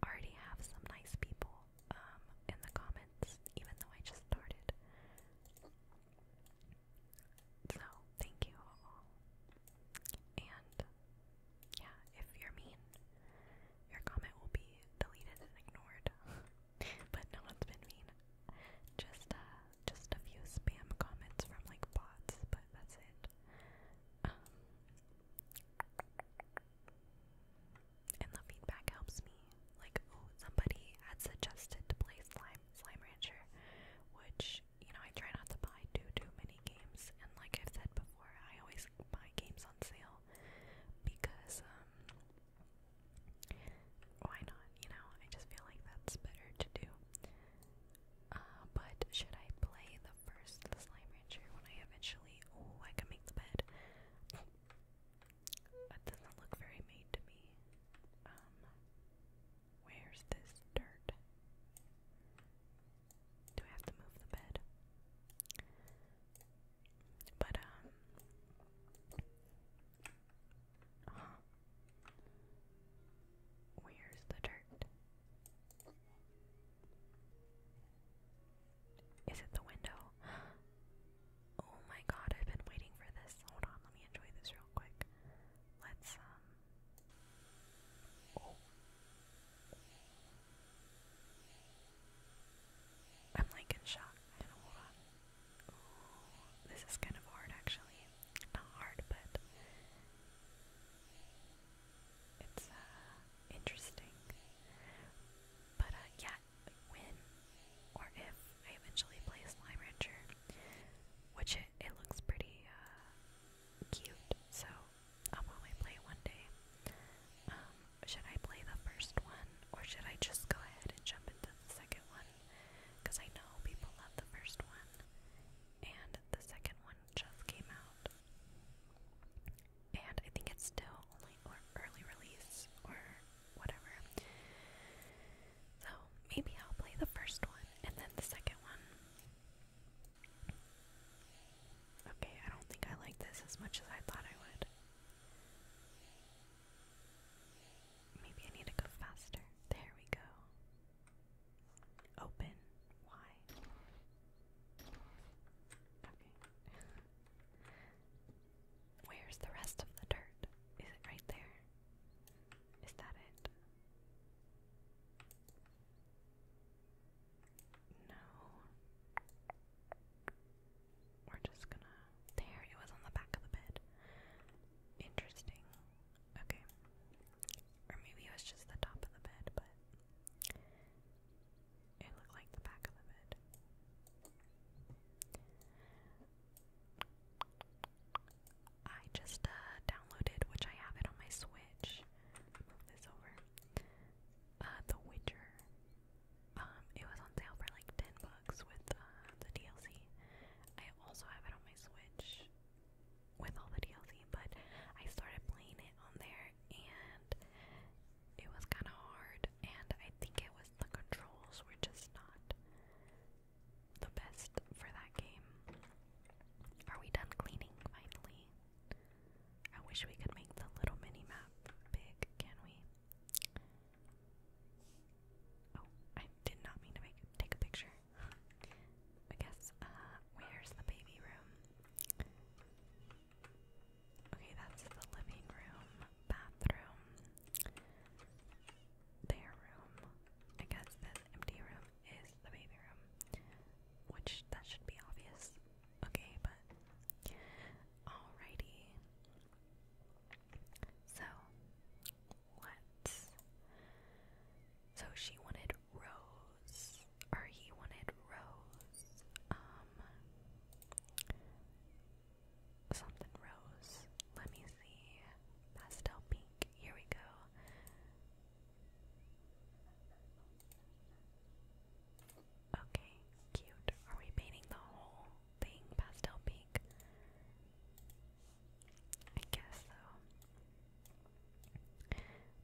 already have some nice people um, in the comments, even though I just started. So, thank you And yeah, if you're mean, your comment will be deleted and ignored. but no one's been mean. Just uh just a few spam comments from like bots, but that's it. Um, and the feedback helps me. Like, oh, somebody had suggested to play Slime Slime Rancher, which you know I try not to buy too too many games. And like I've said before, I always buy games on sale because um, why not? You know, I just feel like that's better to do. Uh, but should I play the first the slime rancher when I eventually oh I can make the bed. That doesn't look very made to me. Um, where's this dirt? Do I have to move the bed? But um Where's the dirt? Is it the window? Oh my god, I've been waiting for this. Hold on, let me enjoy this real quick. Let's, um, oh. I'm like in shock. hold on. this is kind of hard actually. Not hard, but it's uh, interesting. But uh, yeah, when or if I eventually play Slime Rancher, which it, it looks pretty uh, cute, so I'll probably play one day. Um, should I play the first one, or should I just go ahead and jump into the second one? Because I know people love the first one, and the second one just came out and I think it's still only early release or whatever. So maybe I'll play the first one and then the second one. Okay, I don't think I like this as much as I thought I would. Maybe I need to go faster. There we go. Open. Why? Where's the rest of the dirt? Is it right there? Is that it? No. We're just gonna. There, it was on the back of the bed. Interesting. Okay. Or maybe it was just the top of the bed, but it looked like the back of the bed. I just uh, downloaded, which I have it on my Switch. Move this over. Uh, the Witcher. Um, it was on sale for like ten bucks with uh, the DLC. I also have it on my Switch with all the DLC, but I started playing it on there, and it was kind of hard, and I think it was the controls were just not the best for that game. Are we done cleaning finally? I wish we could make the little mini map big, can we? Oh, I did not mean to make take a picture. I guess, uh, where's the baby room? Okay, that's the living room, bathroom, their room. I guess this empty room is the baby room, which that should be obvious. Okay, but alrighty. So, what? So she wanted Rose or he wanted Rose, um, something Rose. Let me see, pastel pink. Here we go. Okay, cute. Are we painting the whole thing pastel pink? I guess so.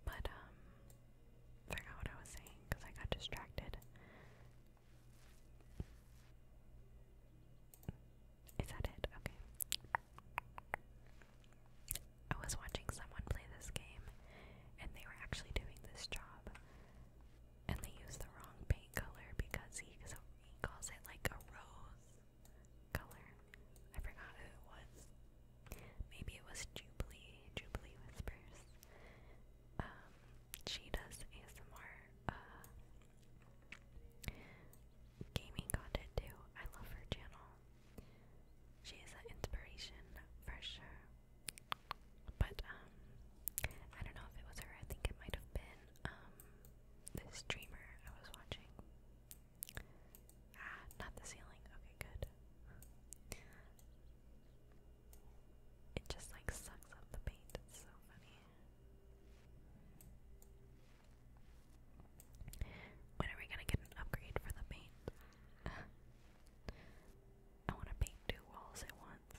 But um forgot what I was saying because I got distracted. Is that it? Okay. I was watching someone play this game, and they were actually doing this job, and they used the wrong paint color because he, he calls it like a rose color. I forgot who it was. Maybe it was Jubilee, Jubilee Whispers. Um, she does ASMR uh, gaming content too. I love her channel. She is an inspiration for sure. But um, I don't know if it was her. I think it might have been um the streamer I was watching. Ah, not the ceiling. Okay, good it just like sucks up the paint. It's so funny. When are we gonna get an upgrade for the paint? I want to paint two walls at once.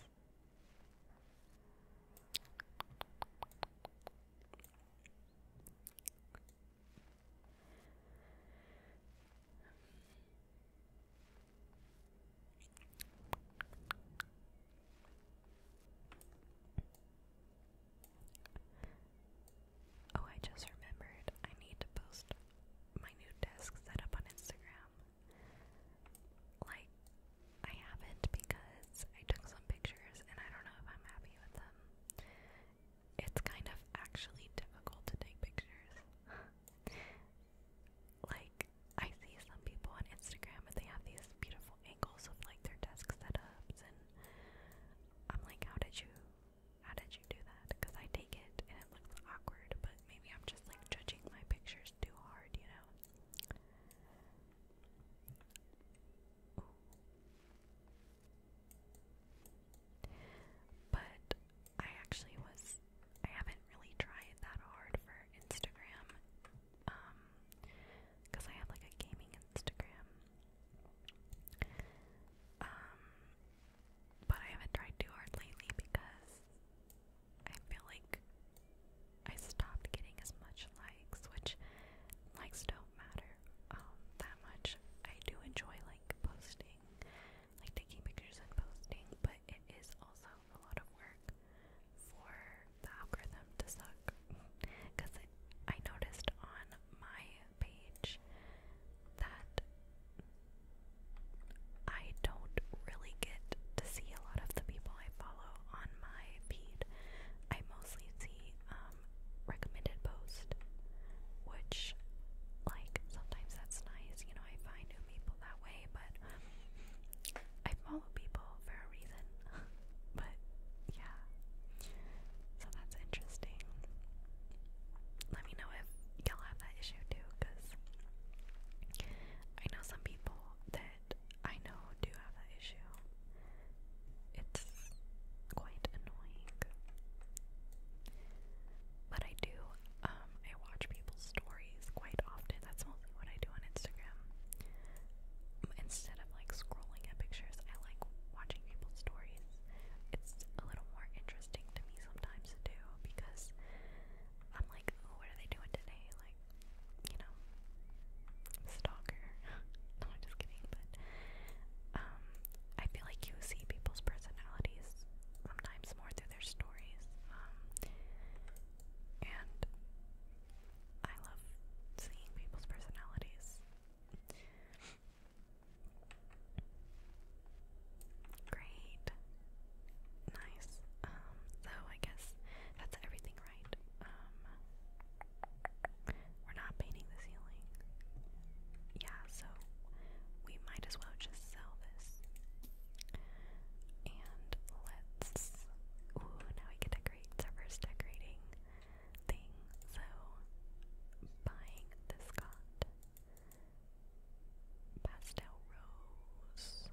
Oh, I just remembered I need to post my new desk setup on Instagram. Like, I haven't because I took some pictures and I don't know if I'm happy with them. It's kind of actually difficult to take pictures. like I see some people on Instagram and they have these beautiful angles of like their desk setups and I'm like how did you how did you do that because I take it and it looks awkward but maybe I'm just like judging my pictures too hard you know Ooh. But I actually was I haven't really tried that hard for Instagram um because I have like a gaming Instagram um but I haven't tried too hard lately because I feel like I stopped getting as much likes, which likes don't matter um, that much. I do enjoy like posting like taking pictures and posting, but it is also a lot of work for the algorithm to suck. Because I noticed on my page that I don't really get to see a lot of the people I follow on my feed. I mostly see um, recommended posts, which, like, sometimes that's nice. You know, I find people that way, but I follow people for a reason. but yeah, so that's interesting. Let me know if y'all have that issue too, because I know some people that I know do have that issue. It's quite annoying. But I do um, I watch people's stories quite often. That's mostly what I do on Instagram. Instead of like scrolling at pictures, I like watching people's stories. It's a little more interesting to me sometimes to do because I'm like, oh, what are they doing today? Like, you know, stalker. no, I'm just kidding. But um, I feel like you see people's personalities sometimes more through their stories. Um, and I love seeing people's personalities. Great. Nice. Um, so I guess that's everything right. Um, we're not painting the ceiling. Yeah, so we might as well just sell this. And let's. Ooh, now we can decorate. our first decorating thing. So, buying this got pastel rose.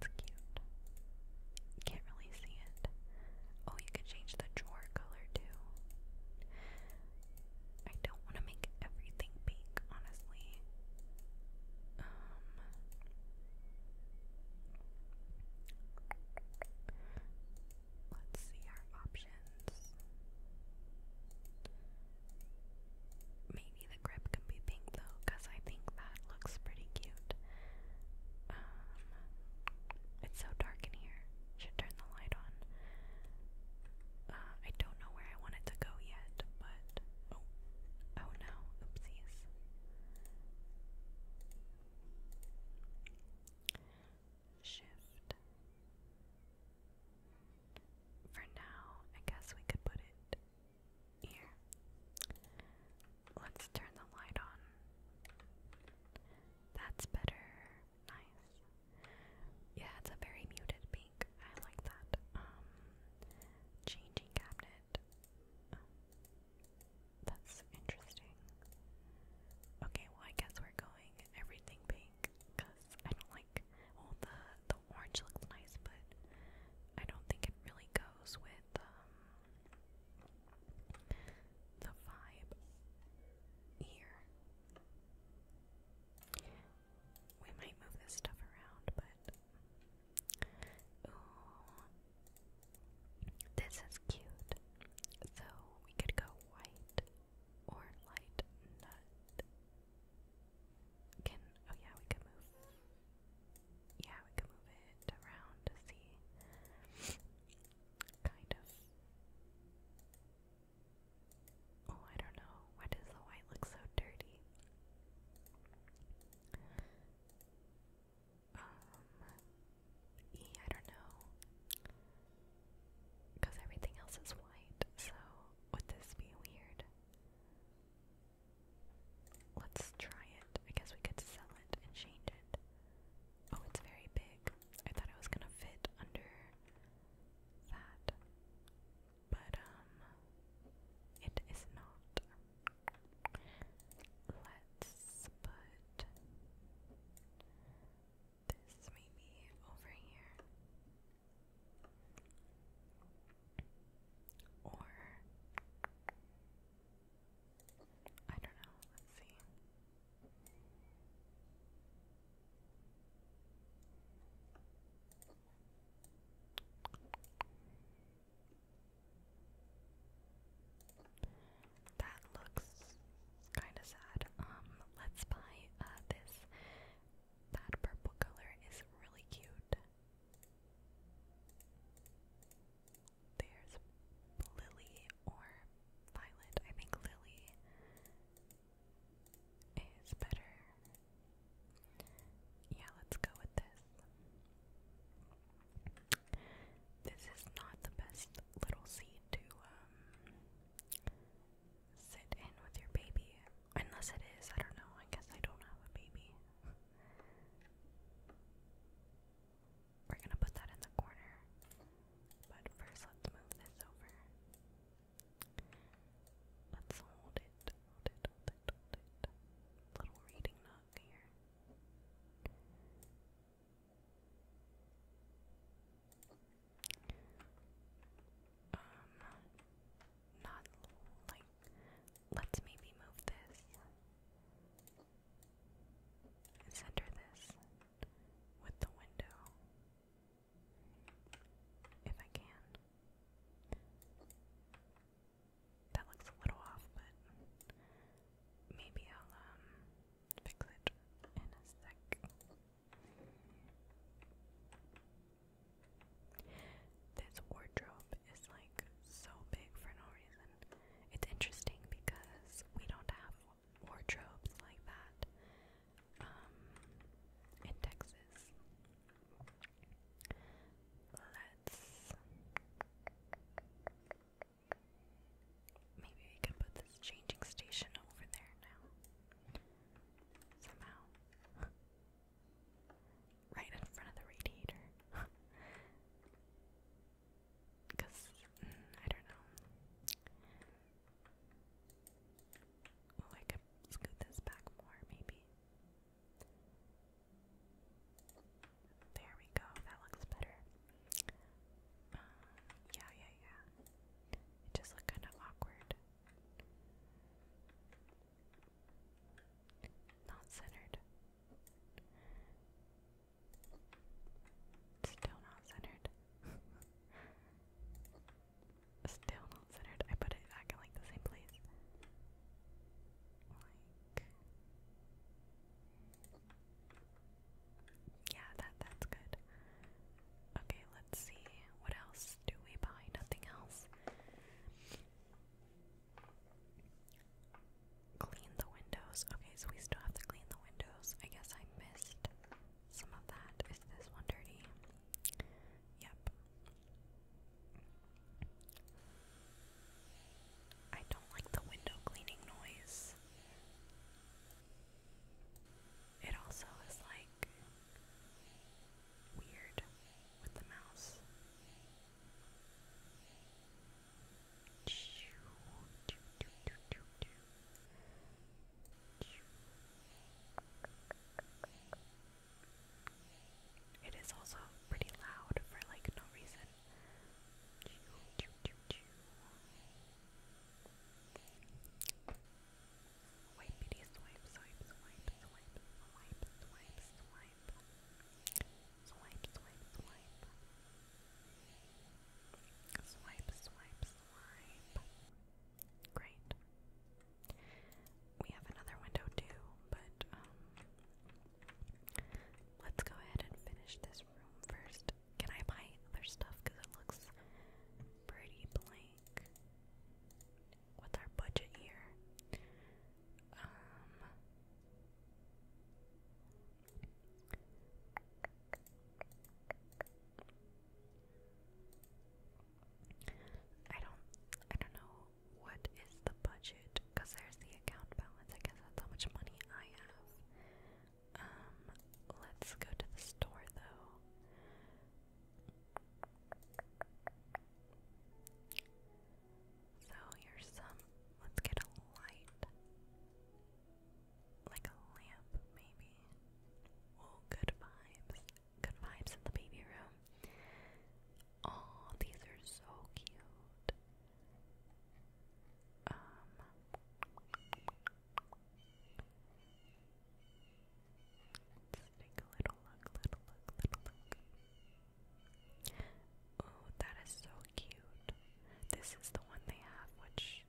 That's cute. Can't really see it. Oh, you can change the drawer color too. I don't want to make everything pink, honestly. Um, let's see our options. Maybe the grip can be pink though, because I think that looks pretty cute. Um, it's so dark in here. Should turn the light on. Uh, I don't know where I want it to go yet, but oh, oh, no, oopsies. Shift. For now, I guess we could put it here. Let's turn the light on. That's better. Nice. Yeah, it's a very muted beam. I like that. Um, changing cabinet. Oh, that's interesting. Okay, well I guess we're going everything pink because I don't like. Well, the the orange looks nice, but I don't think it really goes with um the vibe here. We might move this stuff around, but ooh, this is cute. So we could go white or light nut. Can oh yeah, we could move. Yeah, we could move it around to see. Kind of. Oh, I don't know. Why does the white look so dirty? Um, E, I don't know. Because everything else is white, so would this be weird? Let's try it. I guess we could sell it and change it. Oh, it's very big. I thought it was gonna fit under that but um it is not. Let's put this maybe over here. Or I don't know, let's see. That looks kind of sad. Um, let's buy uh, this. That purple color is really cute. There's Lily or Violet. I think Lily is better yeah, let's go with this. This is not the best little seat to um, sit in with your baby. Unless it is, I don't know. I guess I don't have a baby. We're gonna put that in the corner. But first, let's move this over. Let's hold it, Little reading nook here. Um, not like, let's maybe move this center this with the window. If I can. That looks a little off, but maybe I'll um fix it in a sec. This wardrobe is like so big for no reason. It's interesting because we don't have wardrobes like that um in Texas. Let's maybe we can put this changing station over there now. Somehow. right in front of the radiator. Because, mm, I don't know. Oh, I could scoot this back more, maybe. There we go, that looks better. Uh, yeah, yeah, yeah. It just looked kind of awkward. Not centered. Still not centered. still not centered. I put it back in like the same place. Yeah, that that's good. Okay, let's see. What else do we buy? Nothing else. Clean the windows. Okay, so we still have to clean the windows. I guess I missed some of that. Is this one dirty? Yep. I don't like the window cleaning noise. It also is like weird with the mouse. It is also pretty loud for like no reason. Wipe bitty swipe, swipe, swipe, swipe, swipe, swipe, swipe, swipe, swipe, swipe. Swipe, swipe, swipe. Great. We have another window too, but um, let's go ahead and finish this room first. Can I buy other stuff? Because it looks pretty blank. What's our budget here? Um, I don't I don't know what is the budget? Because there's the account balance. I guess that's how much money I have. Um, let's go to the store though. So here's some. Let's get a light. Like a lamp, maybe. Oh, good vibes good vibes in the baby room. Oh, these are so cute. Um take a little look, little look, little look. Oh, that is so cute. This is the one they have, which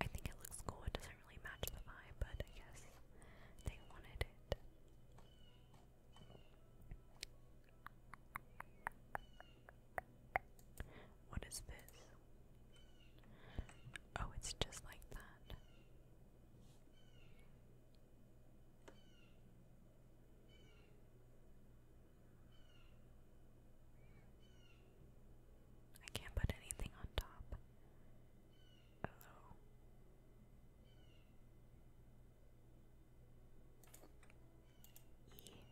I think it looks cool. It doesn't really match the vibe, but I guess they wanted it. What is this? Oh, it's just like that. I can't put anything on top. Hello.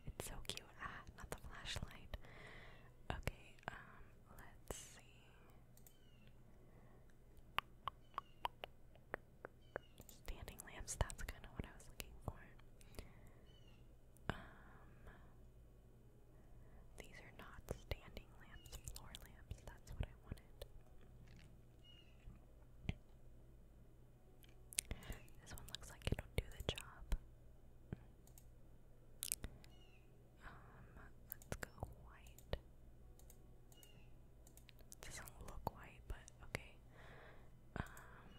It's so cute. Ah, not the flashlight. Okay, um, let's see. Standing lamps, that's kind of what I was looking for. Um, these are not standing lamps, floor lamps, that's what I wanted. This one looks like it'll do the job. Um, let's go white. doesn't look white, but okay. Um,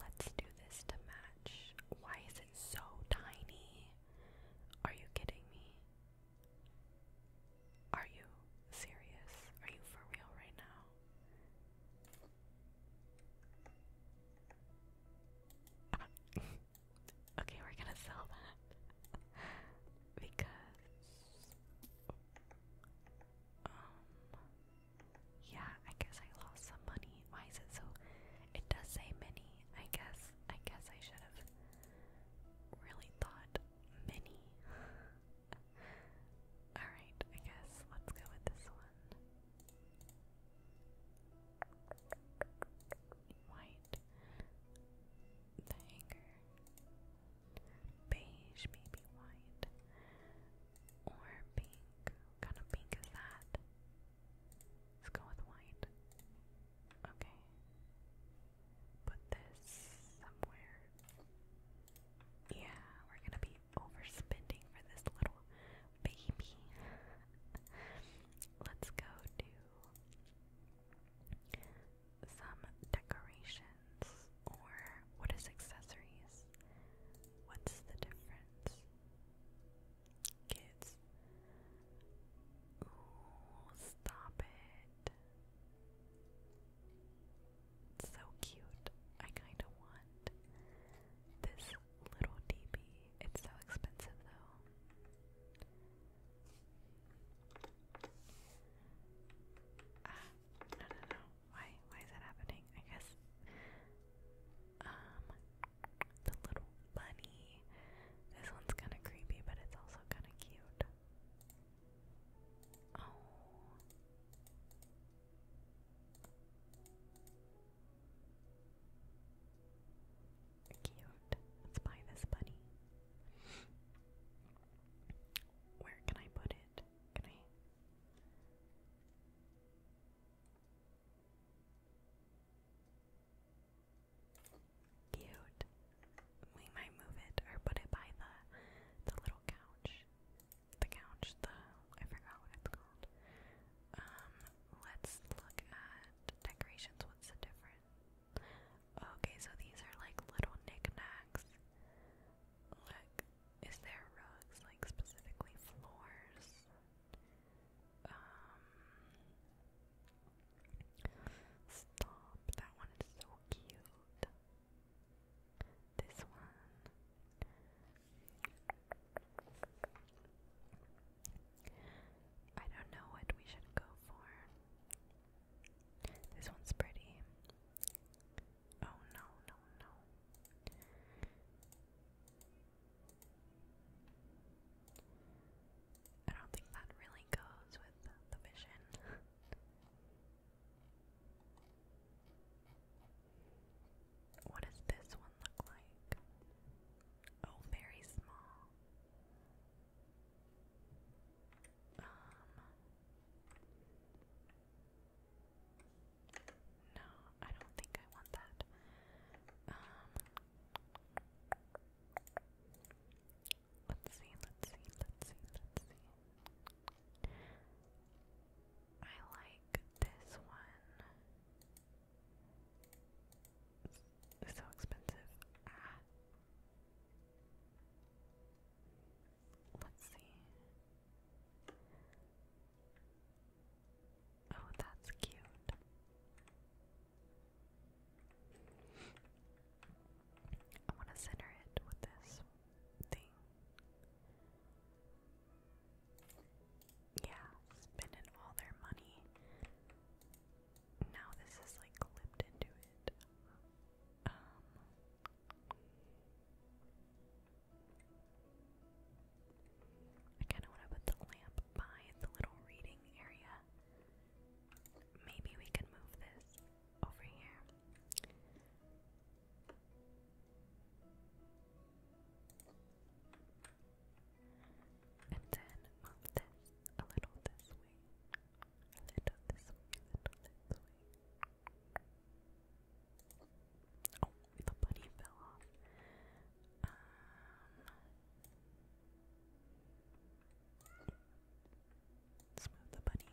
let's do this to match. Why is it so tiny? Are you kidding me? Are you serious? Are you for real right now? okay, we're gonna sell that. because. Um. Yeah, I guess I lost some money. Why is it so. It does say mini. I guess. I guess I should have really thought many. Alright, I guess let's go with this one. White. The hanger. Beige, maybe white. Or pink. kind of pink is that? Let's go with white. Okay put this somewhere. Yeah, we're gonna be overspending for this little baby. Let's go do some decorations or what is accessories? What's the difference? Kids. Ooh, stop it. It's so cute. I kind of want this little DB. It's so expensive though. Ah, no, no, no. Why? Why is that happening? I guess. Um, the little bunny. This one's kind of creepy, but it's also kind of cute. Oh. Cute. Let's buy this bunny. Where can I put it? Can Cute. We might move it or put it by the the little couch. The couch, the I forgot what it's called. Um, let's look at decorations. What's the difference? Okay, so these are like little knickknacks. Look, is there rugs, like specifically floors? Um, Stop, that one is so cute. This one. I don't know what we should go for. This one's pretty. Oh no, no, no. I don't think that really goes with the vision. what does this one look like? Oh, very small. Um, no, I don't think I want that. Um, Let's see, let's see, let's see, let's see. I like this one. It's so expensive. Ah. Let's see. Oh, that's cute. I want to center it with this thing. Yeah, spending all their money. Now this is like clipped into it. Um, I kind of want to put the lamp by the little reading area. Maybe we can move this over here. And then move this a little this way. A little this way, a little this way. Oh, the bunny fell off. Um, Smooth the bunny.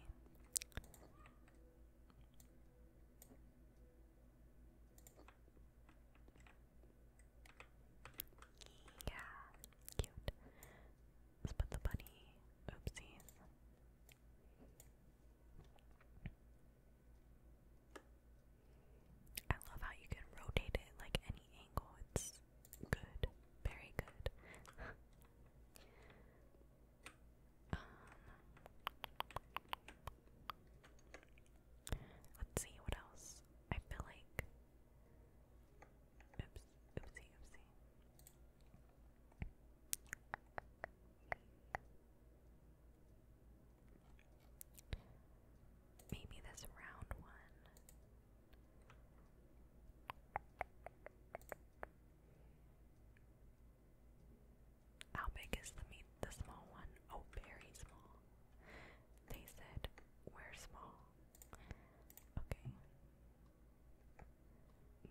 Yeah, cute. Let's put the bunny. Oopsies. I love how you can rotate it like any angle. It's good, very good. Um, let's see what else. I feel like. Maybe this round one. How big is the meat? The small one? Oh, very small. They said we're small. Okay.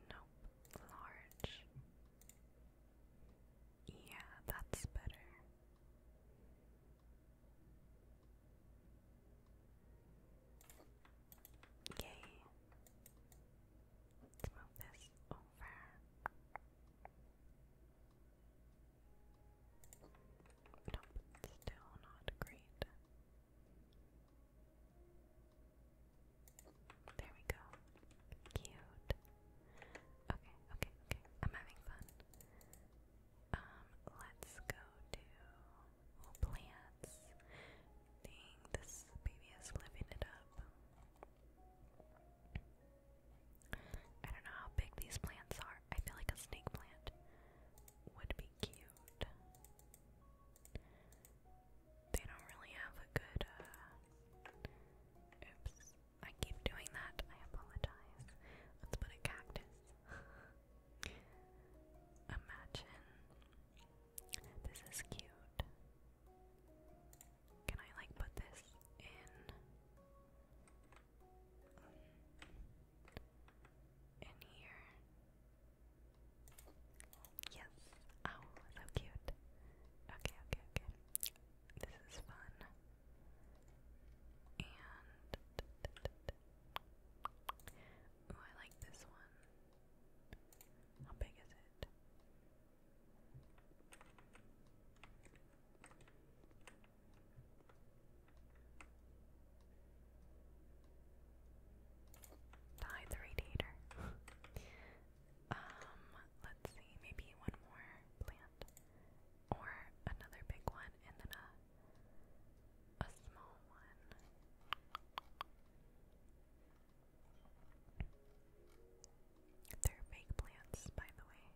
Nope. Large. Yeah, that's better. Yay. Let's move this over. Nope, still not great. There we go. Cute. Okay, okay, okay. I'm having fun. Um, let's go to plants. this baby is living it up. I don't know how big these plants are. I feel like a snake plant would be cute. They don't really have a good, uh, Oops. I keep doing that. I apologize. Let's put a cactus. Imagine. This is cute. Can I like put this in um, in here? Yes. Oh, so cute. Okay, okay, okay. This is fun. And ooh, I like this one. How big is it? Die the radiator. um, let's see, maybe one more plant. Or another big one and then a a small one. They're fake plants, by the way,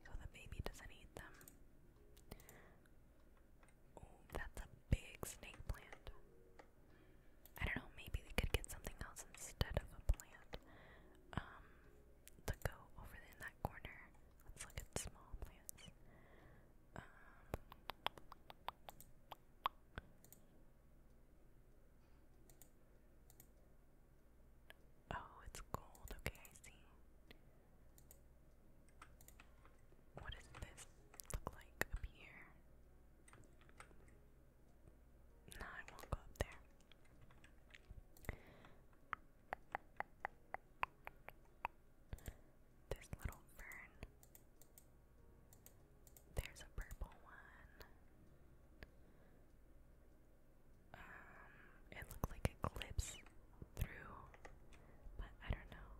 so the baby doesn't eat them. Oh, that's a big snake plant. I don't know, maybe we could get something else instead of a plant. Um, to go over in that corner. Let's look at small plants. Um, oh, it's gold. Okay, I see. What does this look like up here? No, I won't go up there. This little fern. There's a purple one. Um, it looked like it clips through, but I don't know.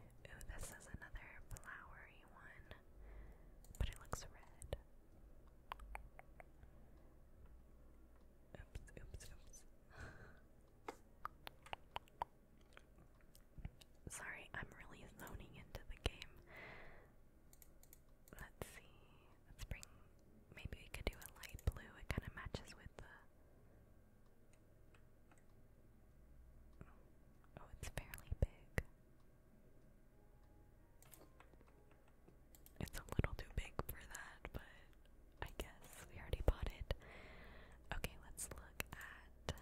Ooh, this is another flowery one, but it looks red. Oops, oops, oops. Sorry, I'm really zoning into the game. Let's see. Let's bring. Maybe we could do a light blue. It kind of matches with the. Oh, it's fairly big. It's a little too big for that, but I guess we already bought it. Okay, let's look at.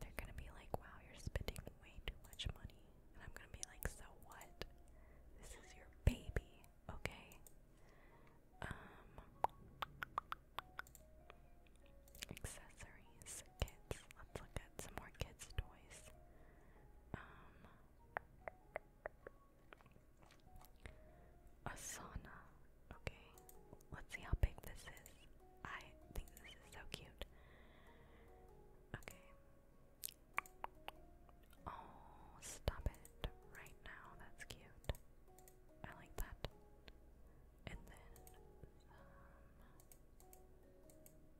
They're gonna be like, wow, you're spending way too much money. And I'm gonna be like, so what? This is your baby, okay? Um, accessories, kids. Let's look at some more kids' toys um, a sauna. Okay, let's see how big this is. I think this is so cute. Okay. Oh, stop it right now. That's cute. I like that. And then um,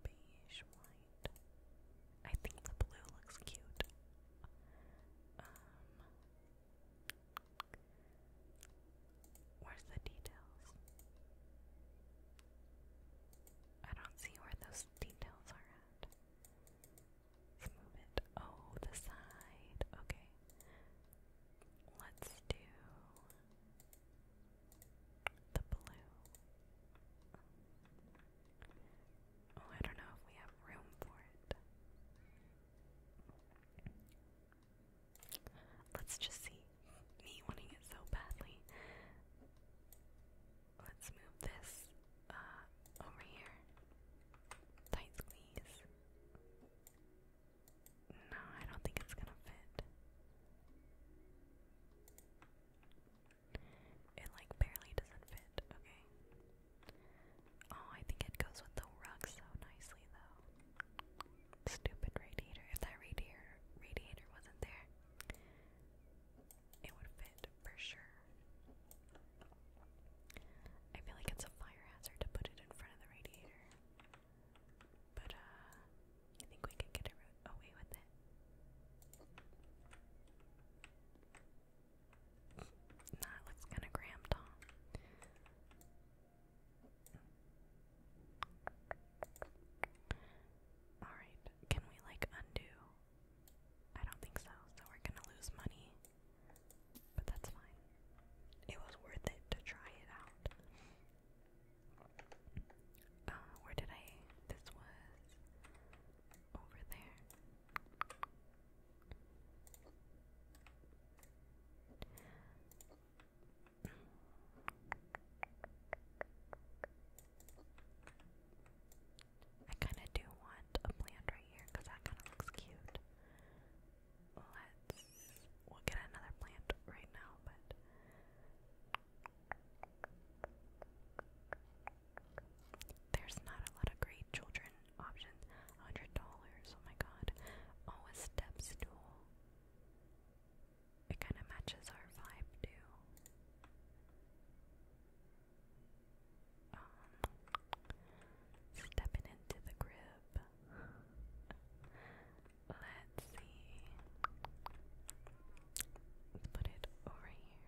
beige one. I think the blue looks cute. Um, where's the details? I don't see where those details are at. Let's move it. Oh, the side. Okay. Let's do the blue. Oh, I don't know if we have room for it. Let's just see. Me wanting it so badly. Let's move this uh, over here. Tight squeeze. No, I don't think it's gonna fit. It like barely doesn't fit, okay? Oh, I think it goes with the rug so nicely though. Stupid radiator. If that radiator radiator wasn't there, it would fit for sure. I feel like it's a fire hazard to put it in front of the radiator. But uh I think we can get away with it. Nah, looks kind of cramped, huh? Alright, can we like undo? I don't think so, so we're gonna lose money. But that's fine. It was worth it to try it out. Uh, where did I? This was over there. I kind of do want a plant right here because that kind of looks cute. Let's. We'll get another plant right now, but there's not a lot of great children options. $100, oh my god. Oh, a step stool. It kind of matches our vibe, too. Um, stepping into the crib. Let's see put it over here.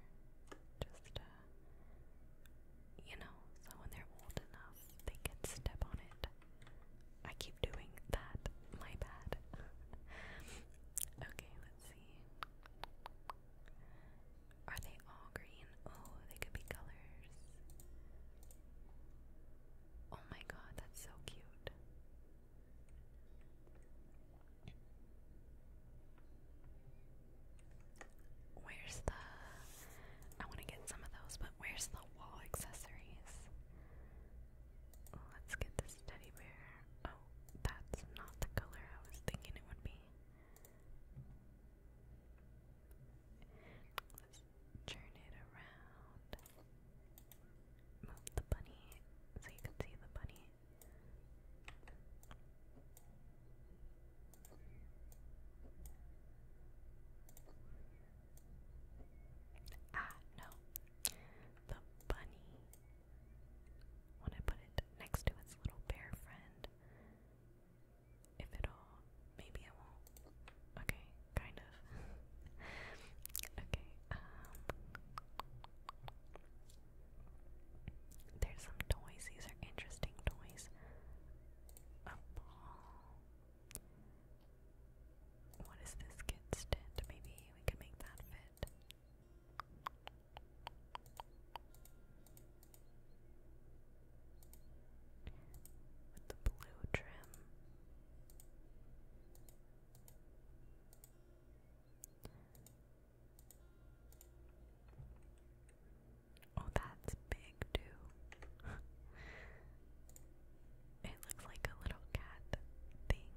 Just, uh, you know, so when they're old enough, they can step on it. I keep doing that. My bad. okay, let's see. Are they all green? Oh, they could be colors. Oh my god, that's so cute. Where's the. I want to get some of those, but where's the wall accessories? Let's get this teddy bear. Oh, that's not the color I was thinking it would be. Let's turn it around. Move the bunny so you can see the bunny. Ah, no. The bunny. When I put it next to its little bear friend. If it'll. Maybe it won't. Okay, kind of. okay, um. There's some toys. These are interesting toys. A ball. What is this kid's tent? Maybe we can make that fit. With the blue trim. Oh, that's big too. it looks like a little cat thing.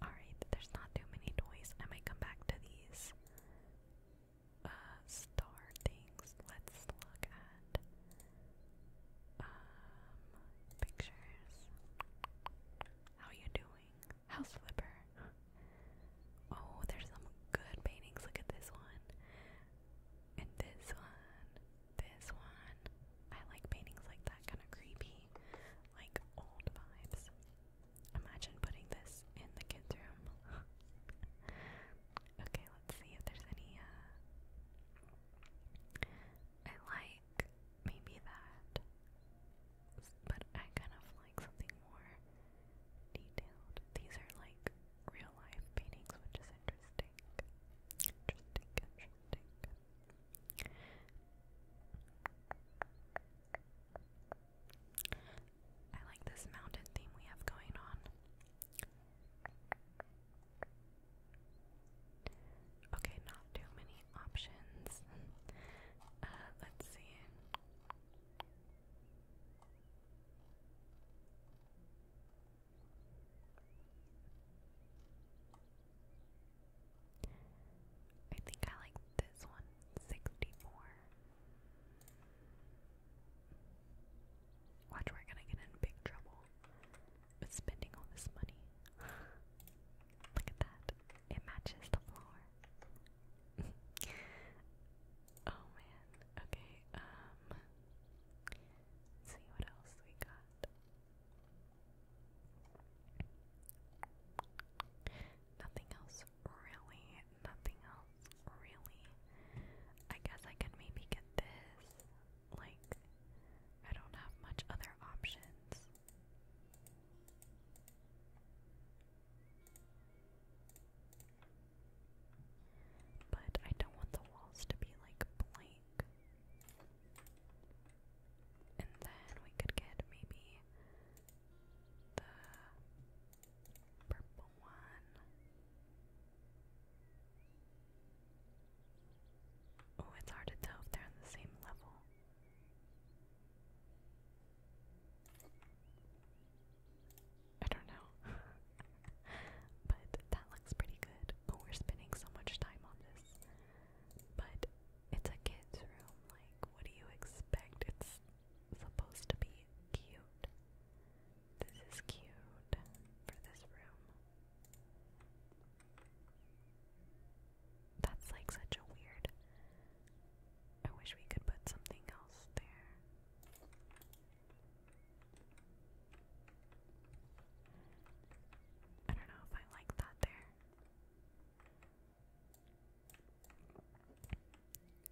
Alright, there's not too many toys. I might come back to these uh, star things. Let's look at um, pictures. How you doing? House Flipper. Oh, there's some good paintings. Look at this one. And this one. This one. I like paintings like that, kind of creepy, like old vibes. Imagine putting this in the kids' room. okay, let's see if there's any. Uh, I like maybe that. But I kind of like something more detailed. These are like real life paintings, which is interesting. Interesting, interesting. I like this mountain theme we have going on. Okay, not too many options. Uh, let's see. I think I like this one, Watch, we're gonna get in big trouble with spending all this money. Look at that. It matches the floor. oh man. Okay, um see what else we got. Nothing else really. Nothing else really. I guess I could maybe get this. Like I don't have much other options. But I don't want the walls to be like blank. And then we could get maybe the purple one. Oh, it's hard to tell if they're on the same level. I don't know. but that looks pretty good. we're spending so much time on this. But it's a kid's room. Like, what do you expect? It's supposed to be cute. This is cute for this room. That's like such a weird. I wish we could put something else there. I don't know if I like that there.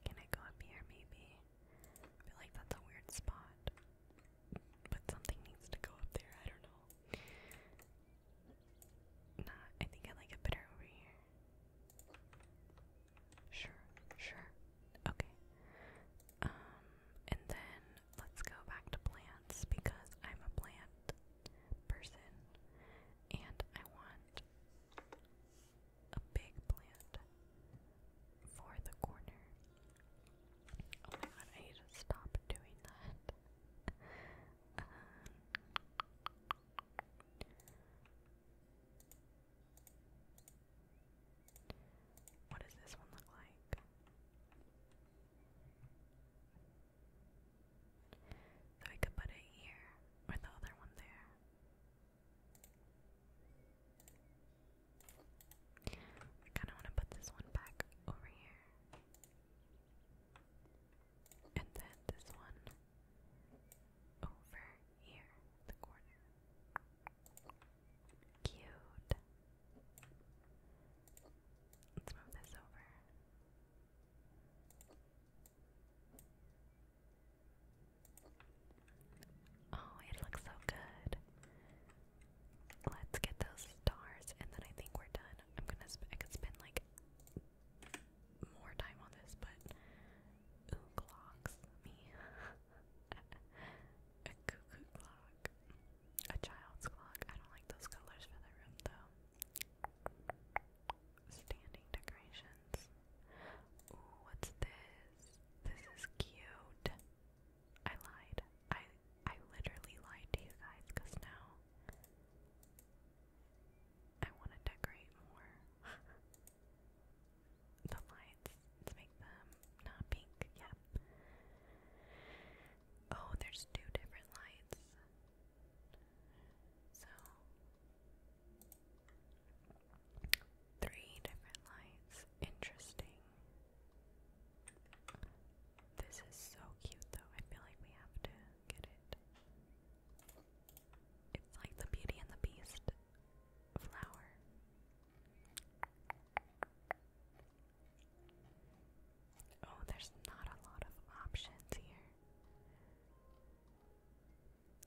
Can I go up here maybe? feel like that's a weird spot. But something needs to go up there, I don't know. Nah, I think I like it better over here. Sure, sure. Okay. Um, and then let's go back to plants because I'm a plant person and I want a big plant for the corner. Oh my god, I need to stop doing that. Um, what does this one look like? So we could put it here, or the other one there. I kind of want to put this one back over here. And then this one over here, the corner. Cute. Let's move this over. Oh, it looks so good. Let's get those stars, and then I think we're done. I'm gonna. Sp like more time on this, but ooh clocks me. a cuckoo clock. A child's clock. I don't like those colors for the room though. Standing decorations. what's this? This is cute. I lied. I I literally lied to you guys because now I want to decorate more the lights to make them not pink. Yep. Oh, there's two different lights. So, three different lights. Interesting. This is so cute, though. I feel like we have to get it. It's like the Beauty and the Beast flower. Oh, there's not a lot of options here.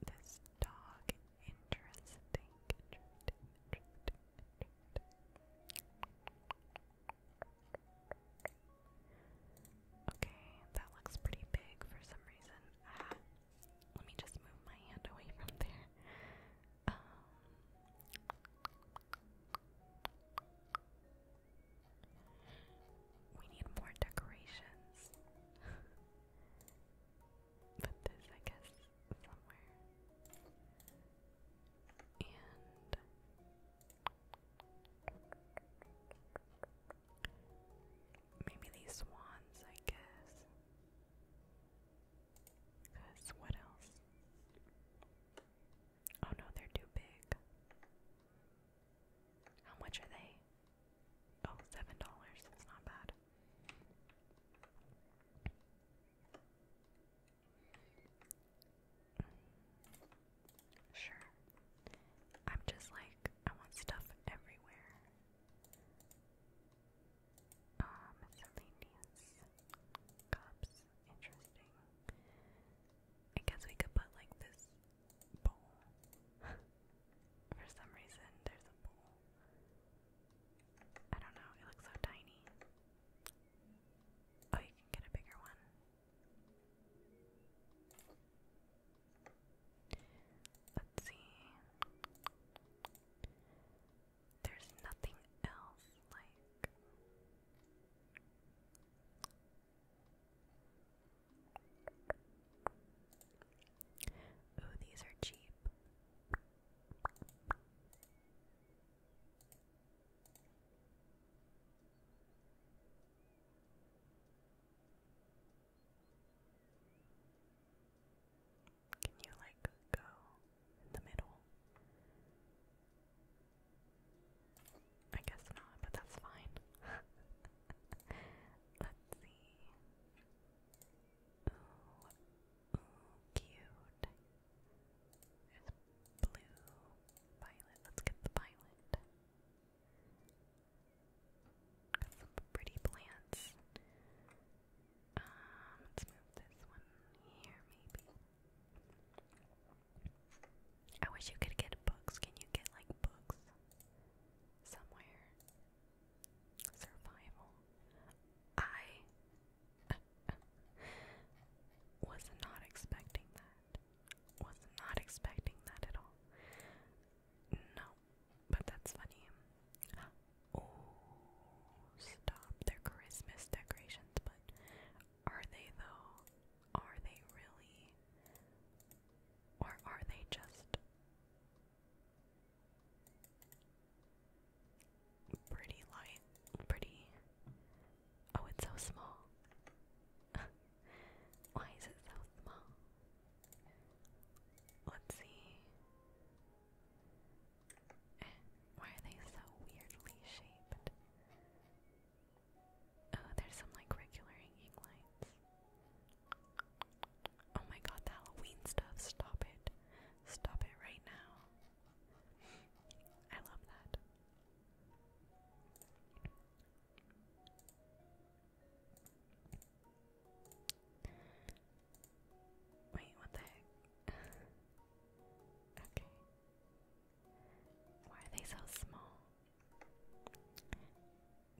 This dog, interesting, Okay, that looks pretty big for some reason. Ah, let me just move my hand away from there. Um, we need more decorations. Put this, I guess, somewhere. And Maybe these swans, I guess. Because what else? Oh no, they're too big. How much are they? Oh, seven dollars. That's not bad. Sure. I'm just like, I want stuff everywhere. Um, miscellaneous cups. Interesting. I guess we could put like this bowl. For some reason, there's a bowl. I don't know, it looks so tiny. Oh, you can get a bigger one. Let's see. There's nothing else like. Ooh, these are cheap. Can you like go in the middle? I guess not, but that's fine. Let's see. Ooh, cute. There's blue, violet. Let's get the violet some pretty plants. Um, let's move this one here, maybe. I wish you could get books. Can you get like books somewhere? Survival. I was not expecting that. Was not expecting that at all. No, but that's funny. Oh, stop. they Christmas decorations, but are they though? Are they really? Or are they just pretty light? Pretty. Oh, it's so small. Why is it so small? Let's see. Eh, why are they so weirdly shaped? Oh, there's some like regular hanging lights. Oh my god, the Halloween stuff. Stop it. Stop it right now. I love that. Wait, what the heck? okay. Why are they so small?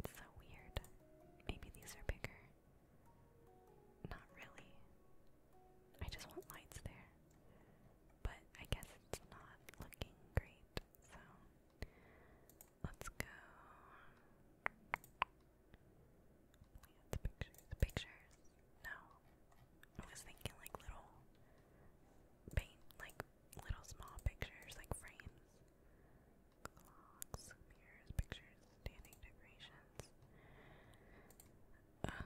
It's so weird. Maybe these are bigger. Not really. I just want lights there. But I guess it's not looking great, so Let's go. the pictures. The pictures. No. I was thinking like little paint, like little small pictures, like frames. Clocks, mirrors, pictures, standing decorations. Uh,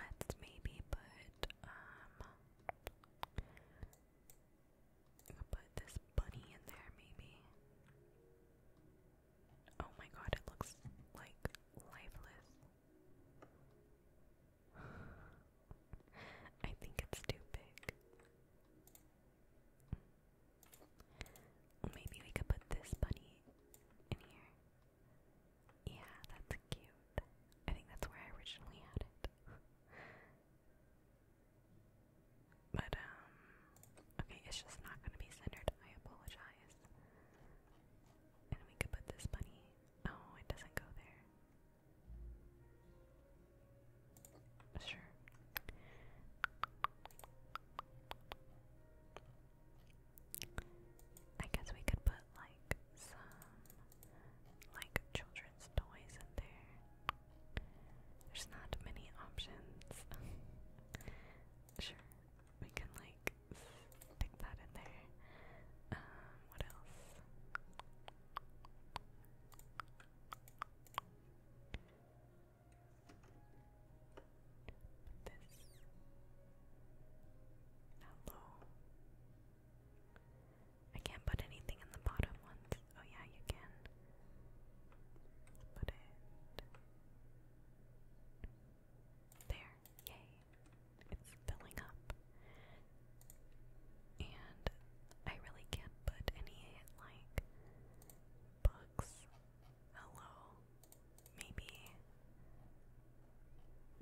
let's maybe put, um, I'll put this bunny in there, maybe. Oh my god, it looks like lifeless. I think it's too big. Maybe we could put this bunny in here. Yeah, that's cute. I think that's where I originally had it. But, um, okay, it's just not going to be centered. I apologize. And we could put this bunny. Oh, it doesn't go there. Sure. I guess we could put, like, some like children's toys in there. There's not many options. sure, we can like stick that in there. Um, what else? This. Hello. I can't put anything in the bottom ones. Oh yeah, you can. Put it there. Yay! It's filling up. And I really can't put any like books. Hello. Maybe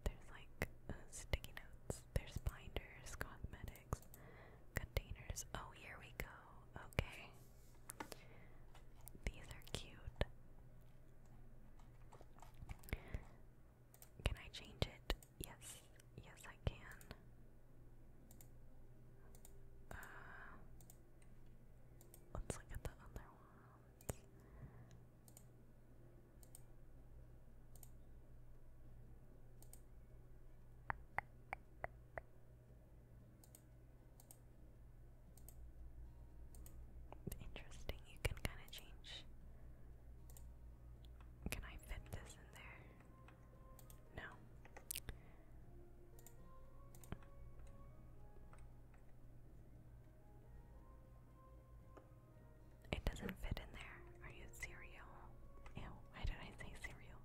there's like uh, sticky notes. There's binders, cosmetics containers. Oh, here we go. Okay. These are cute. Can I change it? Yes. Yes, I can. Uh, let's look at the other ones. Interesting, you can kind of change. Can I fit this in there? No. It doesn't fit in there. Are you cereal? Ew, why did I say cereal?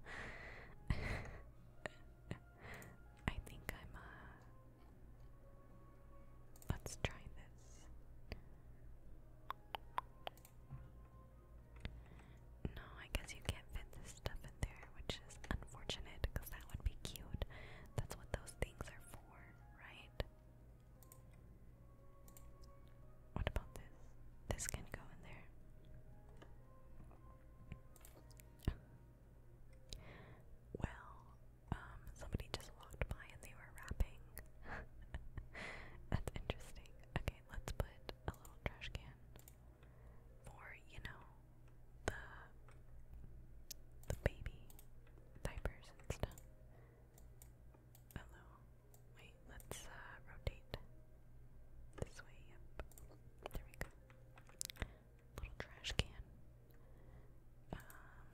I think I'm, uh. Let's try this. No, I guess you can't fit this stuff in there, which is unfortunate because that would be cute. That's what those things are for, right? What about this? This can go in there. Well, um, somebody just walked by and they were rapping. That's interesting. Okay, let's put a little trash can for, you know, the the baby diapers and stuff. Hello. Wait, let's uh, rotate this way. Yep, there we go. Little trash can. Um,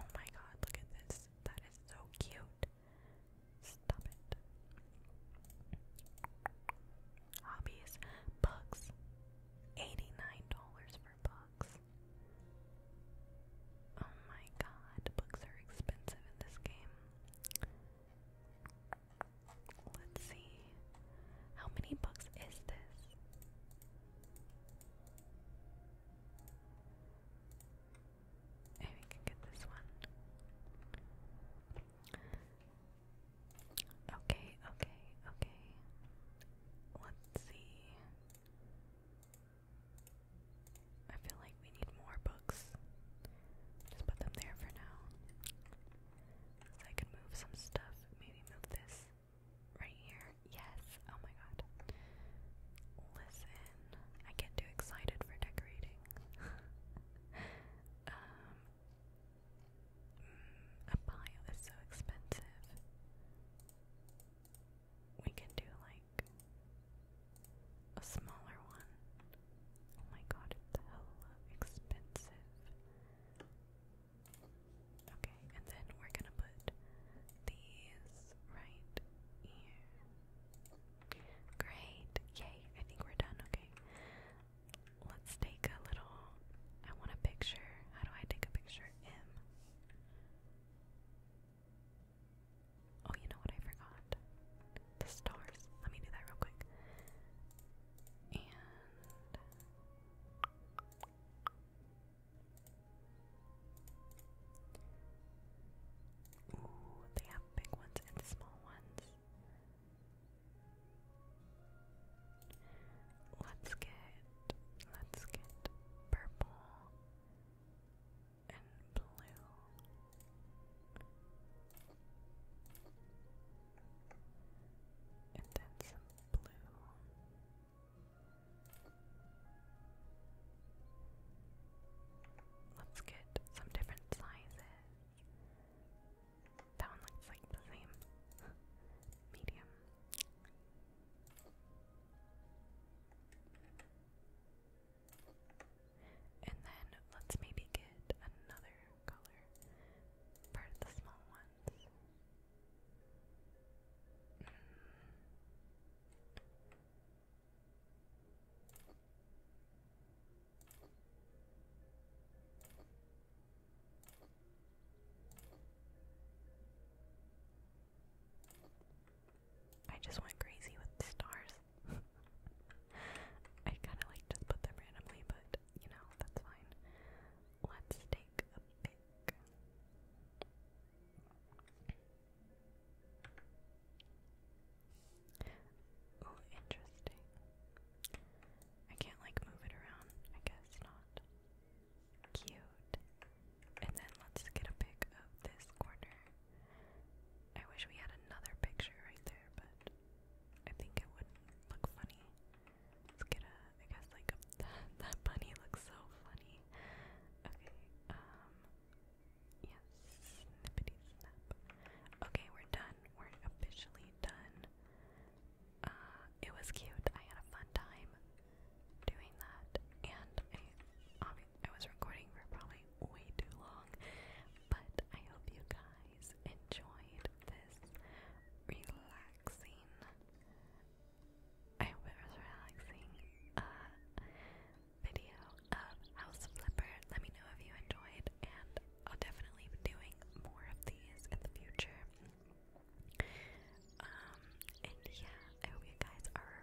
oh my God! Look at this. That is so cute. Stop it. Hobbies: books. Eighty-nine dollars for books. Oh my god, books are expensive in this game. Let's see. How many books is this? Maybe we can get this one. Okay, okay, okay. Let's see. I feel like we need more books. Just put them there for now. So I can move some stuff. Maybe move this right here. Yes. Oh my god. Listen, I get too excited for decorating. um, mm, a pile is so expensive. We can do like a smaller one. Oh my god, it's hella expensive. Okay, and then we're gonna put these right here. Great! Yay, I think we're done. Okay, let's take a little. I want a picture. How do I take a picture? M. Oh, you know what I forgot? The stars. Let me do that real quick. Ooh, they have big ones and small ones. Let's get let's get purple and blue. And then some blue. Let's get some different sizes. That one looks like the same. Medium. And then let's maybe get another color for the small ones. I just went crazy with the stars. I kinda like just put them randomly, but you know, that's fine. Let's take a pick. Oh, interesting. I can't like move it around. I guess not. Cute. And then let's get a pic of this corner. I wish we had another picture right there, but I think it wouldn't look funny. Let's get a, I guess like a, that bunny looks so funny. Okay, um, yes, Okay, we're done. We're officially done. Uh, it was cute. I had a fun time doing that, and I, I was recording for probably way too long, but I hope you guys enjoyed this relaxing. I hope it was relaxing. Uh, video of House Flipper. Let me know if you enjoyed, and I'll definitely be doing more of these in the future. Um, and yeah, I hope you guys are